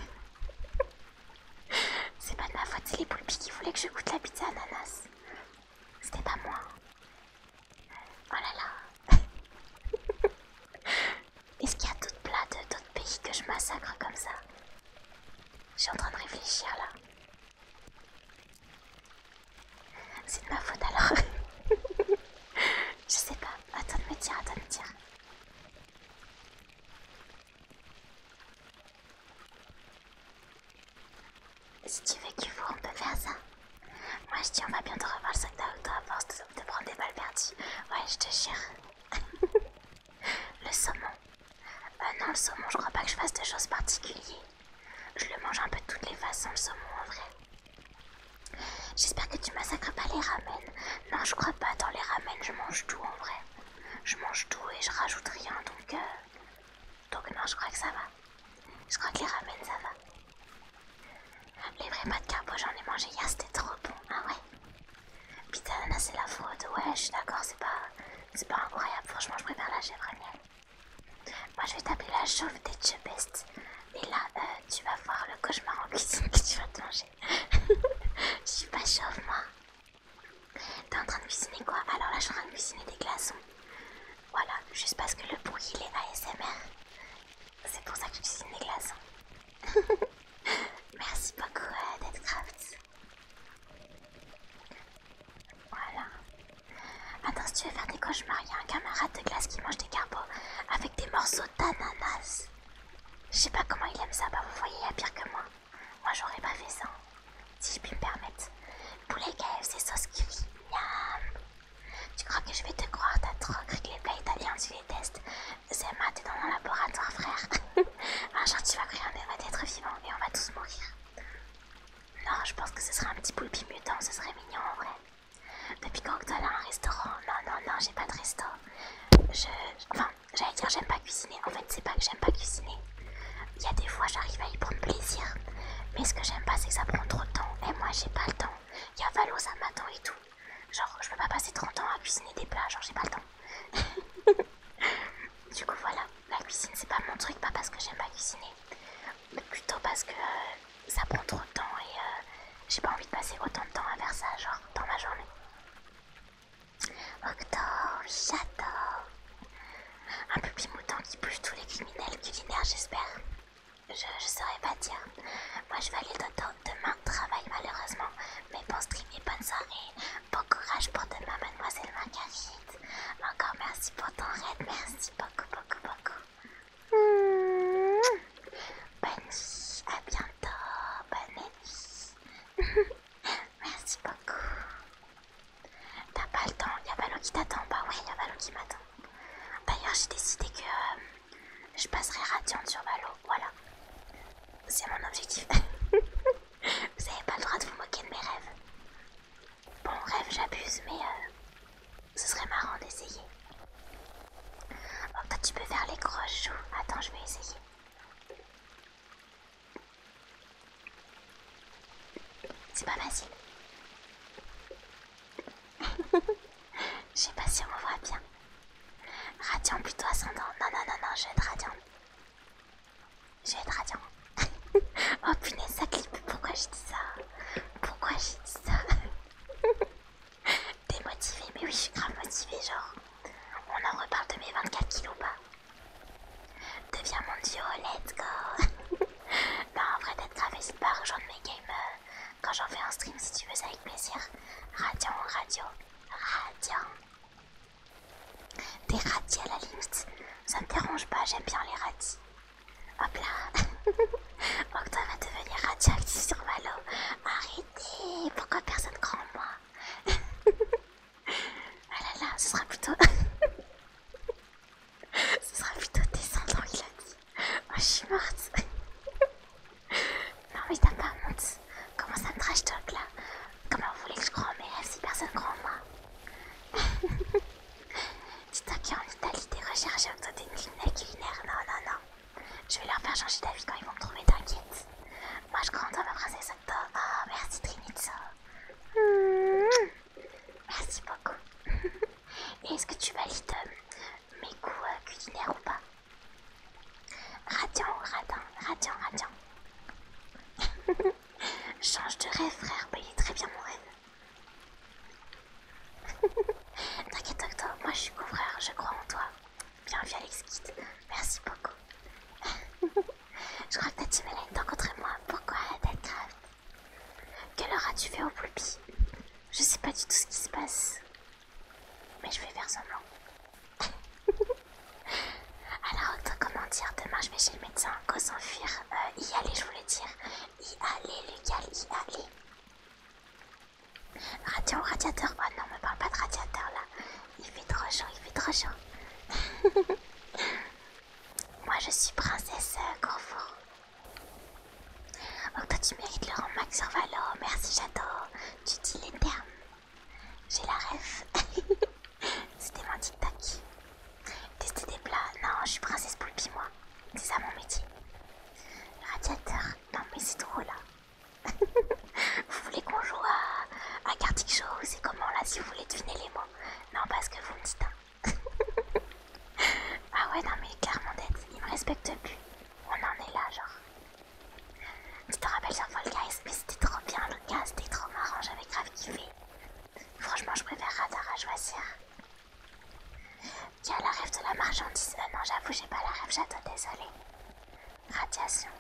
A: c'est pas de ma faute, c'est les poulpes qui voulaient que je goûte la pizza ananas. C'était pas moi. Oh là là Est-ce qu'il y a d'autres plats de d'autres pays que je massacre comme ça Je suis en train de réfléchir là. C'est de ma faute alors. je sais pas. Attends de me dire, attends de me dire. Si tu veux qu'il faut, on peut faire ça. Moi je dis, on va bientôt revoir le sac à force de, prendre des balles Ouais, je te jure. le saumon. Euh, non, le saumon, je crois pas que je fasse des choses particulières. Je le mange un peu de toutes les façons, le saumon en vrai. J'espère que tu massacres pas les ramen. Non, je crois pas. Dans les ramen, je mange tout en vrai. Je mange tout et je rajoute rien donc. Euh, donc, non, je crois que ça va. Je crois que les ramen, ça va. Les vrais de carbo, j'en ai mangé hier, c'était trop bon. Ah ouais. Putain, c'est la faute, Ouais, je suis d'accord, c'est pas, incroyable. Franchement, je préfère la chèvre miel. Moi, je vais t'appeler la chauve des Chubest. Et là, euh, tu vas voir le cauchemar en cuisine que tu vas te manger. je suis pas chauve, moi. T'es en train de cuisiner quoi Alors là, je suis en train de cuisiner des glaçons. Voilà, juste parce que le bruit il est ASMR. C'est pour ça que j'utilise des glaces. Hein. Merci beaucoup euh, Voilà. Attends, si tu veux faire des cauchemars, il y a un camarade de glace qui mange des carbos avec des morceaux d'ananas. Je sais pas comment il aime ça, bah vous voyez, il pire que moi. Moi j'aurais pas fait ça, hein, si je puis me permettre. Poulet KFC sauce curry, miam tu crois que je vais te croire T'as trop cru que les plats italiens, tu les testes C'est t'es dans mon laboratoire, frère. un tu vas créer un va d'être vivant et on va tous mourir. Non, je pense que ce serait un petit poulpe mutant, ce serait mignon en vrai. Depuis quand que t'as un restaurant Non, non, non, j'ai pas de restaurant Je. Enfin, j'allais dire, j'aime pas cuisiner. En fait, c'est pas que j'aime pas cuisiner. Il y a des fois, j'arrive à y prendre plaisir. Mais ce que j'aime pas, c'est que ça prend trop de temps. Et moi, j'ai pas le temps il y a Valosa m'attend et tout. Genre, je veux pas passer 30 ans à cuisiner des plats, genre, j'ai pas le temps. du coup, voilà, la cuisine, c'est pas mon truc, pas parce que j'aime pas cuisiner, mais plutôt parce que euh, ça prend trop de temps et euh, j'ai pas envie de passer autant de temps à faire ça, genre, dans ma journée. j'adore! Un pupi mouton qui pue tous les criminels culinaires, j'espère. Je ne saurais pas dire. Moi, je vais aller d'autant, Demain, travail malheureusement. Mais bon stream et bonne soirée. Bon courage pour demain, mademoiselle Marguerite. Encore merci pour ton raid. Merci beaucoup, beaucoup, beaucoup.
B: Mmh.
A: Bonne nuit. À bientôt. Bonne nuit. merci beaucoup. T'as pas le temps. y a Ballon qui t'attend. Bah ouais, a Valo qui m'attend. D'ailleurs, j'ai décidé que euh, je passerai Radiant sur Valo. Voilà. C'est mon objectif. vous n'avez pas le droit de vous moquer de mes rêves. Bon, rêve, j'abuse, mais euh, ce serait marrant d'essayer. toi tu peux faire les croches Attends, je vais essayer. C'est pas facile. Je sais pas si on voit bien. Radiant plutôt ascendant. Non, non, non, non, je vais être radiant. Je vais être radiant. oh punaise, ça clip. Pourquoi j'ai dit ça Pourquoi j'ai dit ça Démotivé, Mais oui, je suis grave motivé, genre. On en reparle de mes 24 kilos pas Deviens mon duo, let's go Non, en vrai, d'être grave, c'est pas rejoindre mes gamers quand j'en fais un stream si tu veux, c'est avec plaisir. Radio, radio, radio Des radis à la limite, ça me dérange pas, j'aime bien les radis. Hop là, tu va devenir radioactif sur Malo. Arrêtez, pourquoi personne croit moi Ah là là, ce sera plutôt... ce sera plutôt descendant, il a dit. Moi je suis morte. non, mais t'as pas honte. Comment ça me trash talk là Comment vous voulez que je croie en mes rêves si personne croit en moi C'est toi en Italie, tes recherches autour des cliniques culinaires. Non, non, non. Je vais leur faire changer d'avis quand ils vont me trouver, t'inquiète. Moi, je crois en toi, ma princesse Octo. Oh, merci Trinitso. Hmm. Merci beaucoup. Et Est-ce que tu valides euh, mes goûts euh, culinaires ou pas Radiant ou radin Radiant, Change de rêve, frère. payez il est très bien mon rêve. T'inquiète, Octo, moi je suis couvreur, je crois en toi. Bienvenue, Alex Kid. Merci beaucoup. je crois que t'as dit, Mélanie, t'encontrer moi. Pourquoi Deadcraft quelle heure as-tu fait au Poulpi Je sais pas du tout ce qui se passe. Mais je vais faire semblant. Alors, comment dire Demain, je vais chez le médecin. Go s'enfuir. Euh, y aller, je voulais dire. Y aller, Lucal, y aller. Radio, radiateur. Oh non, me parle pas de radiateur là. Il fait trop chaud, il fait trop chaud. Moi, je suis princesse euh, Oh, toi, tu mérites le rang max sur Valo. Merci, j'adore. Tu dis les termes. J'ai la rêve, C'était mon tic-tac. Tester des plats. Non, je suis princesse poulpe, moi. C'est ça mon métier. radiateur. Non, mais c'est trop là. vous voulez qu'on joue à, à show ou C'est comment là si vous voulez deviner les mots Non, parce que vous me dites. Hein ah ouais, non mais carrément d'être, il me respecte plus. On en est là, genre. Tu te rappelles sur Fall mais c'était trop bien le cas, c'était trop marrant, j'avais grave kiffé. Franchement, je préfère Radar à choisir. Tu a la rêve de la marchandise Non, j'avoue, j'ai pas la rêve, j'adore, désolé. Radiation.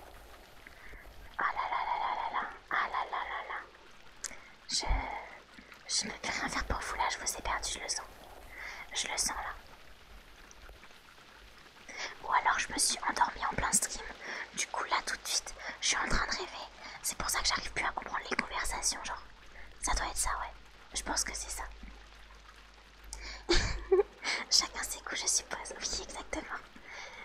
A: Ah oh là là là là là là. Ah là là là là. Je. Je ne vais rien faire pour vous là, je vous ai perdu, je le sens. Je le sens là. Ou alors je me suis endormie en plein stream. Du coup là tout de suite, je suis en train de rêver. C'est pour ça que j'arrive plus à comprendre les conversations, genre. Ça doit être ça, ouais. Je pense que c'est ça. Chacun ses coups, je suppose. Oui, exactement.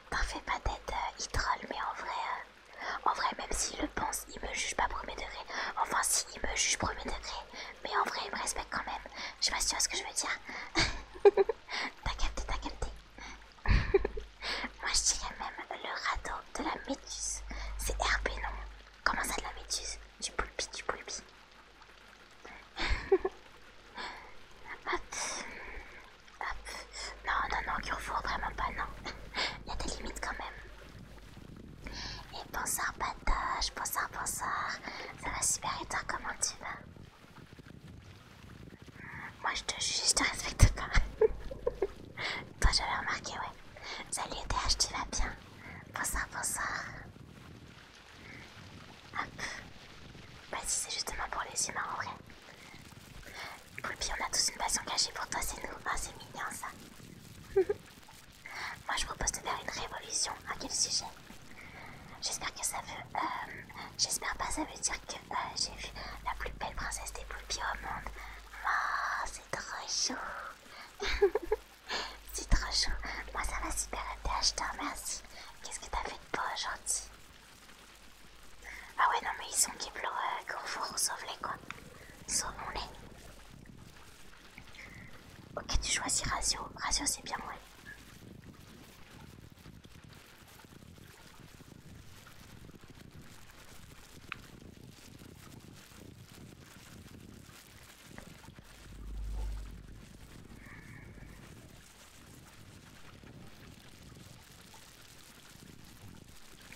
A: Parfait, pas d'être il euh, mais en vrai, euh, en vrai, même s'il le pense, il me juge pas premier degré. Enfin, si, il me juge premier degré. Mais en vrai, il me respecte quand même. Je suis pas sûre ce que je veux dire. t'as capté, t'as Moi, je dirais même le radeau de la méduse. C'est RP non Comment ça, de la méduse Du poulpi, du poulpi. hop, hop. Non, non, non, vraiment pas, non. Il y a des limites quand même. Et bonsoir Patoche, bonsoir, bonsoir. Ça va super et comment tu vas hmm, Moi je te juge, je te respecte pas. toi j'avais remarqué, ouais. Salut TH, tu vas bien Bonsoir, bonsoir. Hop. Bah si c'est justement pour les humains en vrai. puis on a tous une passion cachée pour toi, c'est nous. Ah, c'est mignon ça. Moi, je propose de faire une révolution. À quel sujet J'espère que ça veut. Euh, j'espère pas, ça veut dire que euh, j'ai vu la plus belle princesse des poupées au monde. Oh, c'est trop chou C'est trop chou. Moi, ça va super, MTH, merci Qu'est-ce que t'as fait de beau aujourd'hui Ah ouais, non, mais ils sont qui pleurent, qu'on sauve-les quoi. Sauvons-les. Ok, tu choisis Razio, Razio c'est bien, moi.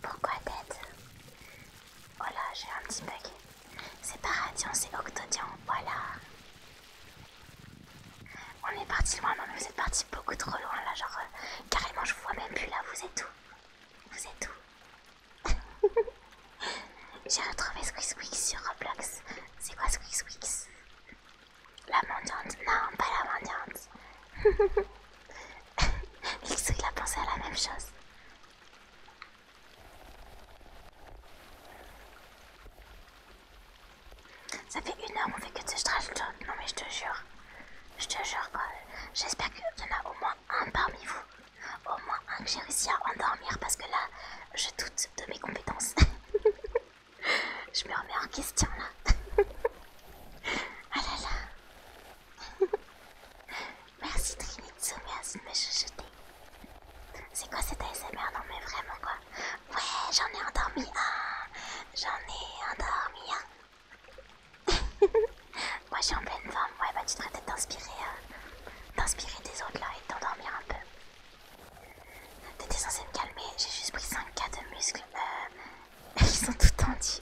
B: Pourquoi tête
A: Oh j'ai un petit bug. C'est pas radian, c'est Octodian, voilà. On est parti loin, non mais vous êtes parti beaucoup trop loin là, genre euh, carrément je vous vois même plus là, vous êtes où Vous êtes où J'ai retrouvé Wix sur Roblox. C'est quoi Wix La mendiante Non, pas la mendiante. il a pensé à la même chose. Ça fait une heure, qu'on fait que de ce trash Non, mais je te jure. Je te jure, quoi. J'espère qu'il y en a au moins un parmi vous. Au moins un que j'ai réussi à endormir parce que là, je doute de mes compétences. je me remets en question là. ah là là. Merci Trinitsu, merci de me chuchoter. C'est quoi cette ASMR Non mais vraiment quoi Ouais, j'en ai endormi un. J'en ai endormi un. Moi je suis en pleine forme. Ouais, bah tu devrais peut-être t'inspirer des autres là et t'endormir un peu. T'étais censée me calmer, j'ai juste pris 5K de muscles. ils sont tout tendus.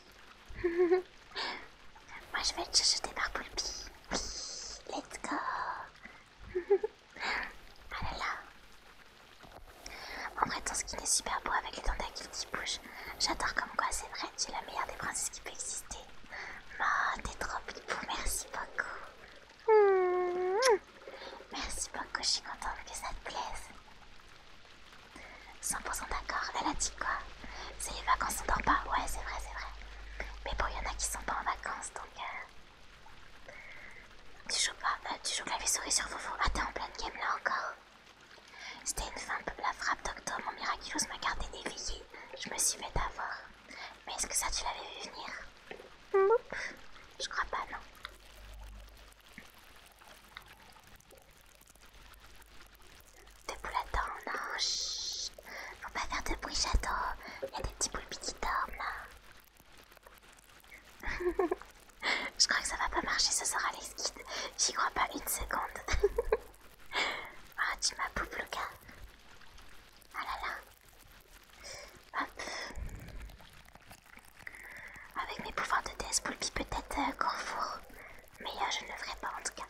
B: Moi
A: je vais te jeter par Poulpi. Let's go. ah là En vrai, ton skin est super beau avec les tentacules qui bougent. J'adore comme quoi, c'est vrai, tu es la meilleure des princesses qui peut exister. t'es trop beau merci beaucoup.
B: Hmm.
A: Merci beaucoup, je suis contente que ça te plaise. 100% d'accord, elle a dit quoi C'est les vacances, on dort pas Ouais, c'est vrai, c'est vrai. Mais bon, il y en a qui sont pas en vacances, donc... Euh, tu joues pas euh, Tu joues clavier-souris sur vos Ah, t'es en pleine game là encore C'était une fin peu la frappe d'octobre mon miraculous m'a gardé éveillé. Je me suis fait avoir. Mais est-ce que ça, tu l'avais vu
B: venir
A: Je crois pas, non. Des poules à non, chut. Faut pas faire de bruit, j'attends. Il y a des petits poulpis qui dorment là. Je crois que ça va pas marcher ce sera les skids. J'y crois pas une seconde. Ah, oh, tu m'as poupe, le Ah oh là là. Hop. Avec mes pouvoirs de test Poulpi, peut-être qu'on euh, Mais je ne le ferai pas en tout cas.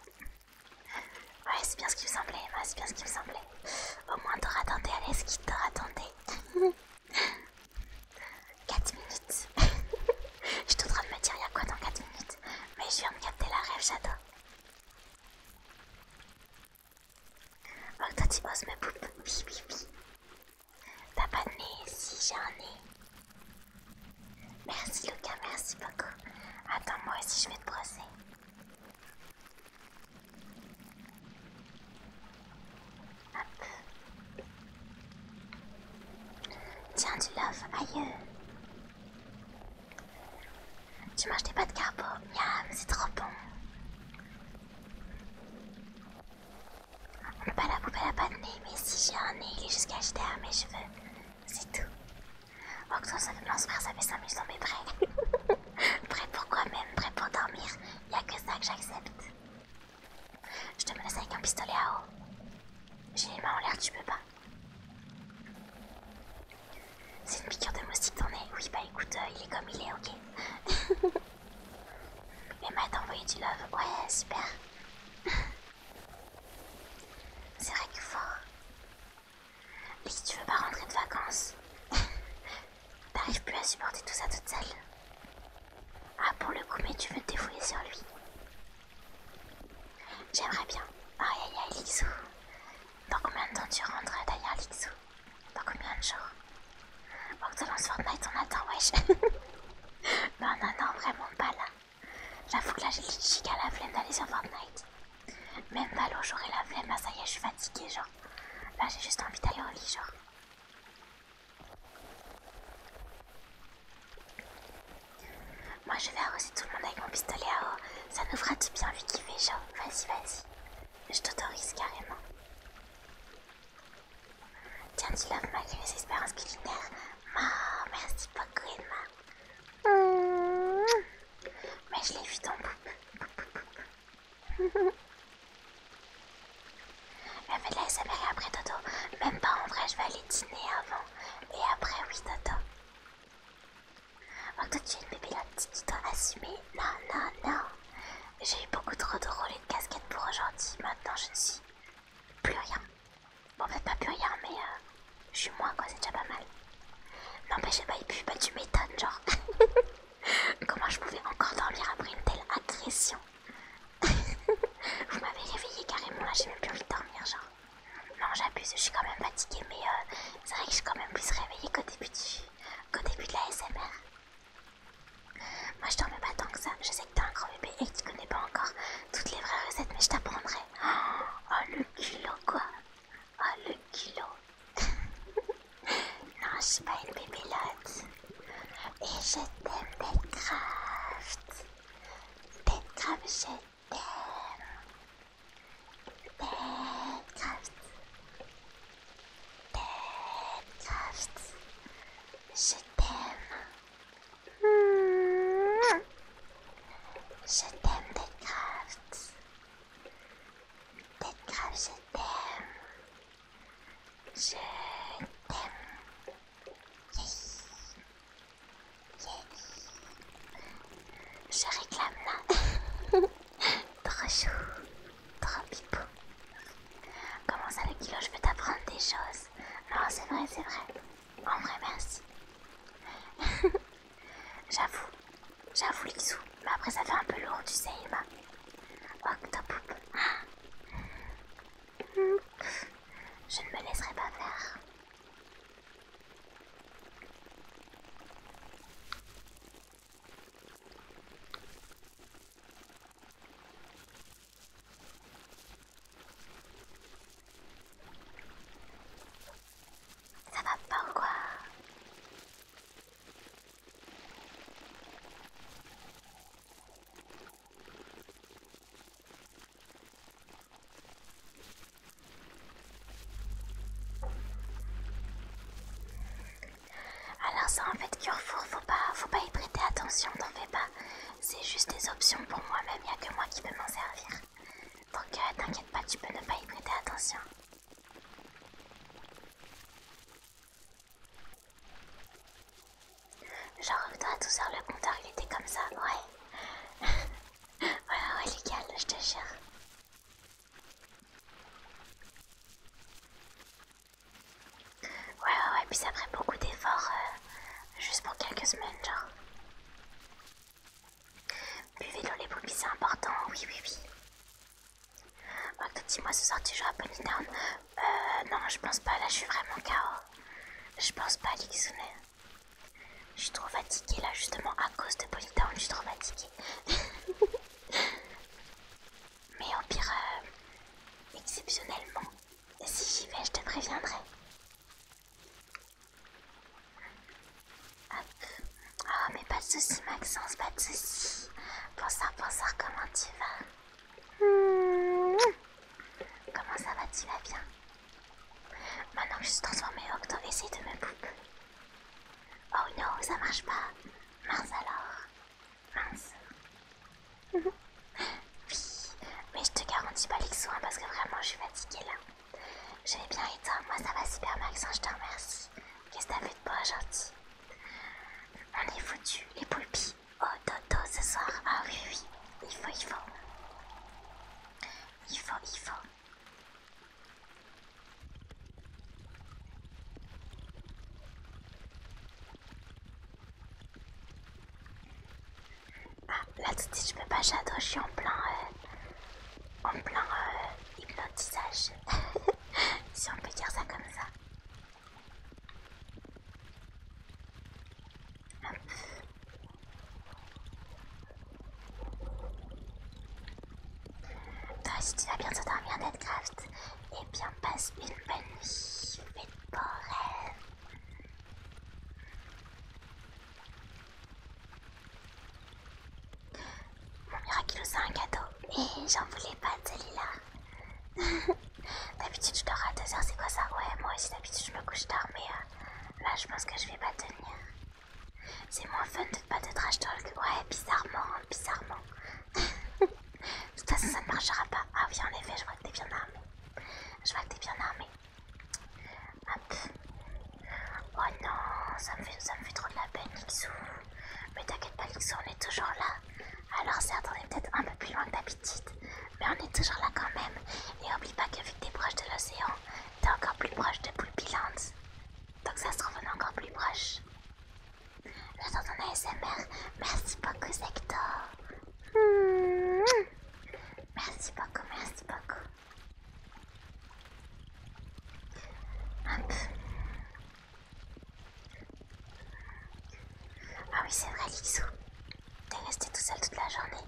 A: Ouais, c'est bien ce qui vous semblait, ouais, c'est bien ce qui vous semblait. Au moins t'auras tenté, à qui t'auras tenté. 4 minutes. je suis en train de me dire, il y a quoi dans 4 minutes Mais je viens de capter la rêve, j'adore. Oh, toi tu oses mes poupe Oui, T'as pas de nez Si, j'ai un nez. Merci Lucas, merci beaucoup. Attends, moi aussi je vais te brosser. Tiens, du love, aïe. Tu manges des pâtes carbo, miam, c'est trop bon. On peut pas la poubelle à la de nez, mais si j'ai un nez, il est jusqu'à jeter à mes cheveux c'est tout. Oh, que ça me lance ça fait 5 minutes, mais prêt. prêt pour quoi même, prêt pour dormir. Y a que ça que j'accepte. Je te menace avec un pistolet à eau. J'ai les mains en l'air, tu peux pas. C'est une piqûre de moustique, t'en nez Oui, bah écoute, euh, il est comme il est, ok. Emma t'as envoyé du love. Ouais, super. C'est vrai que fort. Lix si tu veux pas rentrer de vacances, t'arrives plus à supporter tout ça toute seule. Ah, pour le coup, mais tu veux te sur lui. J'aimerais bien. Aïe aïe aïe, Lixou. Dans combien de temps tu rentres d'ailleurs, Lixou Dans combien de jours Pour que tu lances Fortnite, on attend, wesh. non, non, non, vraiment pas là. J'avoue que là j'ai à la flemme d'aller sur Fortnite. Même l'eau, j'aurais la flemme, bah ça y est je suis fatiguée genre. Là j'ai juste envie d'aller au lit genre. Moi je vais arroser tout le monde avec mon pistolet à eau. Ça nous fera du bien vu qu'il fait Vas-y, vas-y. Je t'autorise carrément. Tiens, tu laves malgré les espérances culinaires. Oh, merci beaucoup Edna. Mmh. Mais je l'ai vu dans poupe. Elle fait là, la après Toto. Même pas en vrai, je vais aller dîner avant. Et après, oui, Toto. Oh, toi, tu es une bébé là, tu dois assumer. Non, non, non. J'ai eu beaucoup trop de rôles et de casquettes pour aujourd'hui. Maintenant, je ne suis plus rien. Bon, peut-être bah, pas rien mais euh, je suis moi quoi, c'est déjà pas mal. j'ai pas, eu pue, bah tu m'étonnes, genre. Comment je pouvais encore dormir après une telle agression Vous m'avez réveillée carrément, là j'ai même plus envie de dormir, genre. Non, j'abuse, je suis quand même fatiguée, mais euh, c'est vrai que je suis quand même plus réveillée qu'au début, du... début de la SMR. Moi je dormais pas tant que ça, je sais que t'es un grand bébé et que tu connais pas encore toutes les vraies recettes, mais je t'apprendrai. Oh le culot quoi Oh le culot Non, je suis pas une Lot Et je t'aime, DeadCraft DeadCraft, je t'aime.
B: DeadCraft DeadCraft Je t'aime. Je t'aime, Deadcraft. Deadcraft, je t'aime. Je t'aime.
A: Je réclame là. trop chou. Trop pipou. Comment ça, le kilo, je peux t'apprendre des choses Non, c'est vrai, c'est vrai. En vrai, merci. j'avoue, j'avoue, Lixou. Mais après, ça fait un peu lourd, tu sais, Emma. Octopoup. Oh, Je ne me laisserai pas faire. Ça va pas ou quoi alors ça en fait Carrefour, faut pas, faut pas y prêter attention, t'en fais pas. C'est juste des options pour moi-même, y a que moi qui peux m'en servir. Donc t'inquiète pas, tu peux ne pas y prêter attention. Genre, toi, tout h le compteur, il était comme ça, ouais. Ouais, ouais, légal, je te jure. Ouais, ouais, ouais, puis ça prend beaucoup d'efforts, euh, juste pour quelques semaines, genre. Buvez l'eau les boubies, c'est important, oui, oui, oui. tu dis-moi, ce soir tu à Polydown. Euh, non, je pense pas, là je suis vraiment KO. Je pense pas, Lixune. Je suis trop fatiguée là, justement, à cause de Polydown, je suis trop fatiguée. Mais au pire, euh, exceptionnellement, si j'y vais, je te préviendrai. Ah Oh, mais pas de soucis, Maxence, pas de soucis. pense bonsoir, comment tu vas
B: mmh.
A: Comment ça va, tu vas bien Maintenant que je suis transformée en octo, essaye de me boucler Oh non, ça marche pas. Mince alors. Mince. Mmh. oui, mais je te garantis pas les soins parce que vraiment je suis fatiguée là. J'ai bien éteint, Moi ça va super ça hein, je te remercie. Qu'est-ce que t'as fait de beau gentil On est foutu, les poulpis. Oh dodo ce soir. Ah oui oui, il faut, il faut. Il faut, il faut. Ah, là tout de suite je peux pas j'adore, je suis en plein euh, en plein euh, hypnotisage si on peut dire ça comme ça. Hop. Toi si tu vas bientôt dormir Netcraft. et eh bien passe une bonne nuit. Fais de beaux mon miraculeux, c'est un cadeau. Et j'en voulais pas de Lila d'habitude, je dors à 2h, c'est quoi ça Ouais, moi aussi, d'habitude, je me couche tard, mais euh, là, je pense que je vais pas tenir. C'est moins fun de pas de trash talk. Ouais, bizarrement, hein, bizarrement. de toute façon, ça ne marchera pas. Ah oui, en effet, je vois que t'es bien armé. Je vois que t'es bien armé. Oh non, ça me, fait, trop de la peine, Mais t'inquiète pas, on est toujours là. Alors, certes, on est peut-être un peu plus loin que d'habitude, mais on est toujours là quand même. Et oublie pas que vu que t'es proche de l'océan, t'es encore plus proche de Pulpiland, Donc, ça se trouve, encore plus proche. J'attends ton ASMR. Merci beaucoup, Sector. Hmm. Merci beaucoup, merci beaucoup. Ah oui, c'est vrai, Lixou. T'es resté tout seul toute la journée.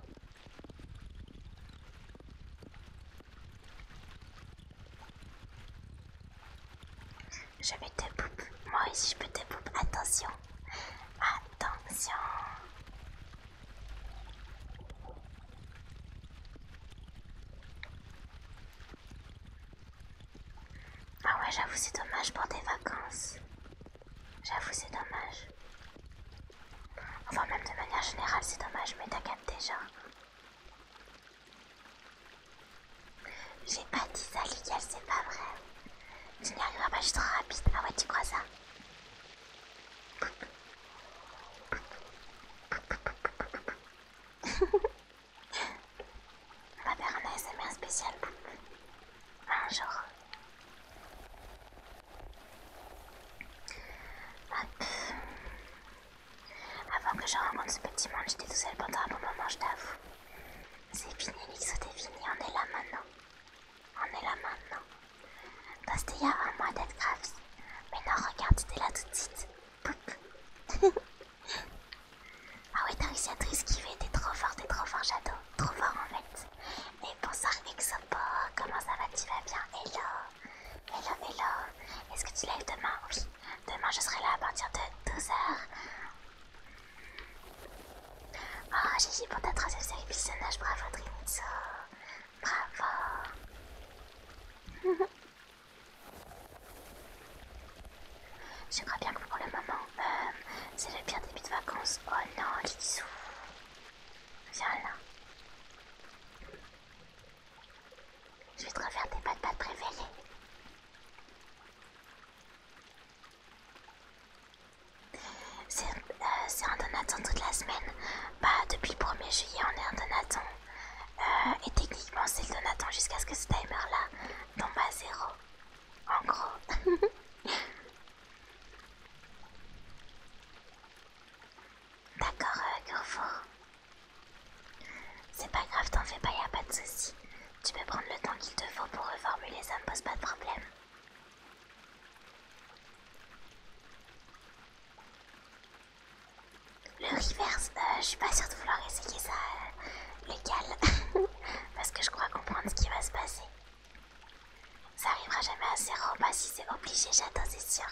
A: Je vais te poupe. Moi aussi, je peux te poupe. Attention. Attention. Ah ouais, j'avoue, c'est dommage pour des vacances. J'avoue, c'est dommage. Enfin, même de manière générale, c'est dommage, mais t'as déjà. J'ai pas dit ça, Lucas, c'est pas vrai. Tu n'y arriveras pas, je suis trop rapide. Ah ouais, tu crois ça on va faire un spécial un Avant que je rencontre ce petit monde, j'étais tout seul pendant un bon moment, je t'avoue. C'est fini, Lixo, t'es fini, on est là maintenant. On est là maintenant. a un mois d'être grave. Mais non, regarde, es là tout de suite. ah ouais, t'as réussi à te esquiver. T'es trop fort, t'es trop fort, Shadow. Trop fort en fait. Et bonsoir, Exopo. Comment ça va Tu vas bien Hello. Hello, hello. Est-ce que tu lèves demain Oui. Demain, je serai là à partir de 12h. Oh, Gigi pour ta troisième série bravo Dreamitsu Bravo Je crois bien que pour le moment, euh, c'est le pire début de vacances. Oh non, souffle Viens là. Je vais te refaire tes pas de euh, c'est un donaton toute la semaine. Bah, depuis le 1er juillet, on est un donaton. Euh, et techniquement, c'est le donaton jusqu'à ce que ce timer-là tombe à zéro. En gros. D'accord, euh, C'est pas grave, t'en fais pas, y'a a pas de soucis. Tu peux prendre le temps qu'il te faut pour reformuler, ça me pose pas de problème. Le reverse, euh, je suis pas sûre de vouloir essayer ça, euh, légal, parce que je crois comprendre ce qui va se passer. Ça arrivera jamais à zéro, pas si c'est obligé, j'attends, c'est sûr.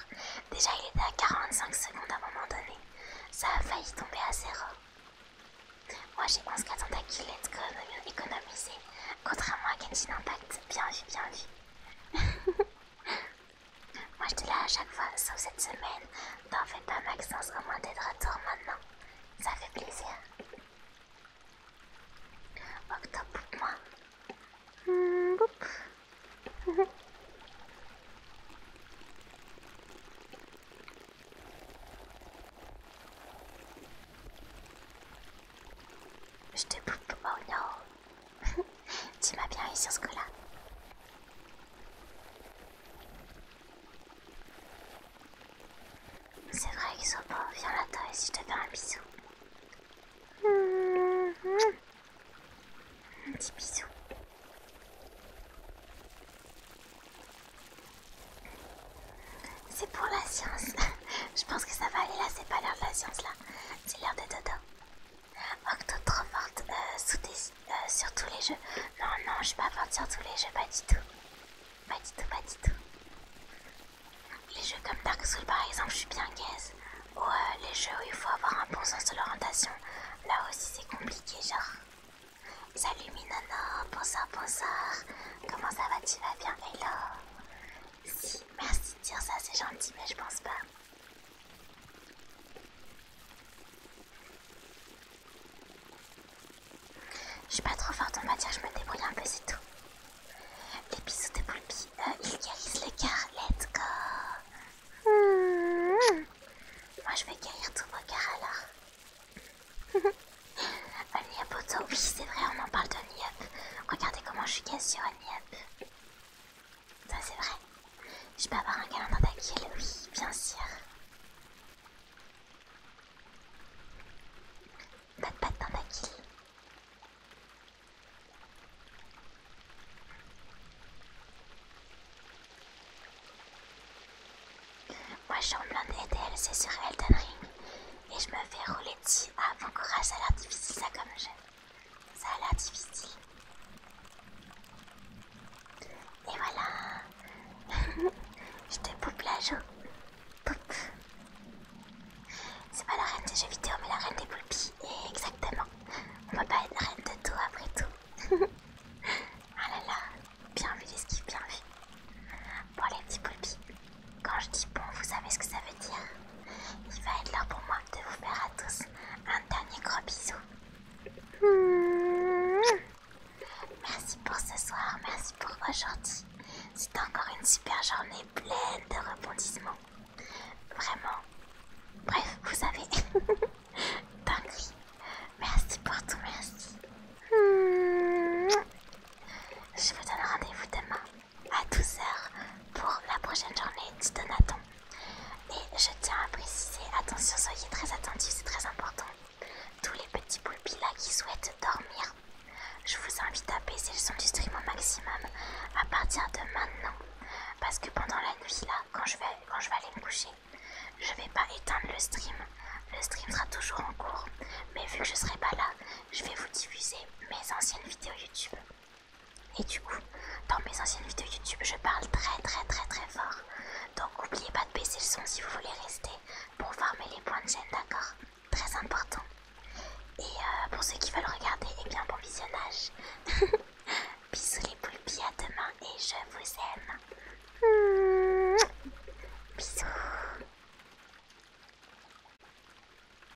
A: Déjà, il était à 45 secondes à un moment donné. Ça a failli tomber à zéro. Moi, j'ai 11 qu'à tentacules, let's go, économiser. Contrairement à Genshin Impact, bien vu, bien vu. Moi je te là à chaque fois, sauf cette semaine. T'en fais pas Maxence, au t'es de retour maintenant. Ça fait plaisir.
B: Octobre boupe moi. Mmh,
A: Je te boupe, oh non tu m'as bien eu sur ce coup-là. C'est vrai, Xopo, viens là-dedans et si je te fais un bisou. Un petit bisou. C'est pour la science. je pense que ça va aller là, c'est pas l'air de la science là c'est l'air de dodo. Oh trop trop forte sur tous les jeux. Non, non, je suis pas forte sur tous les jeux, pas du tout. Pas du tout, pas du tout. Les jeux comme Dark Souls par exemple, je suis bien gaze. Ou euh, les jeux où il faut avoir un bon sens de l'orientation. Là aussi c'est compliqué, genre. Salut Minana, bonsoir, bonsoir. Comment ça va, tu vas bien Hello. Si, merci de dire ça, c'est gentil, mais je pense pas. Je suis pas trop forte en matière, je me débrouille un peu, c'est tout. Les bisous de Poulpi, euh, ils guérissent les cœur, let's go!
B: Hmm.
A: Moi je vais guérir tous vos cœurs alors. Un Auto, oui c'est vrai, on en parle de Only Regardez comment je suis cassée sur un ça c'est vrai. Je peux avoir un câlin dans ta oui, bien sûr. Pas de patte dans ta kill. Moi suis et elle, c'est sur Elden Ring. Et je me fais rouler dessus. Ah, mon courage, ça a l'air difficile ça comme jeu. Ça a l'air difficile. Et voilà. Je te poupe la joue. Poupe. C'est pas la reine des jeux vidéo, mais la reine des poulpies exactement. On peut pas être la reine de tout après tout. ah là là. Bien vu, l'esquive, bien vu. Bon, les petits poulpis. Quand je dis bon, vous savez ce que ça veut dire Il va être l'heure pour moi de vous faire à tous un dernier gros bisou. Merci pour ce soir, merci pour aujourd'hui. C'est encore une super journée pleine de rebondissements. Vraiment.
B: Bref, vous savez. gris.
A: Merci pour tout, merci. Je vous donne rendez-vous demain à 12h pour la prochaine journée du donaton. Et je tiens à préciser, attention, soyez très attentifs, c'est très important. Tous les petits poulpis là qui souhaitent dormir, je vous invite à baisser le son du stream au maximum à partir de maintenant. Parce que pendant la nuit là, quand je vais, quand je vais aller me coucher, je vais pas éteindre le stream. Le stream sera toujours en cours. Mais vu que je serai pas là, je vais vous diffuser mes anciennes vidéos YouTube. Et du coup, dans mes anciennes vidéos YouTube, je parle très très très très fort. Donc n'oubliez pas de baisser le son si vous voulez rester pour former les points de chaîne, d'accord Très important. Et euh, pour ceux qui veulent regarder, eh bien bon visionnage. Bisous les plus à demain et je
B: vous aime. Mmh. Bisous.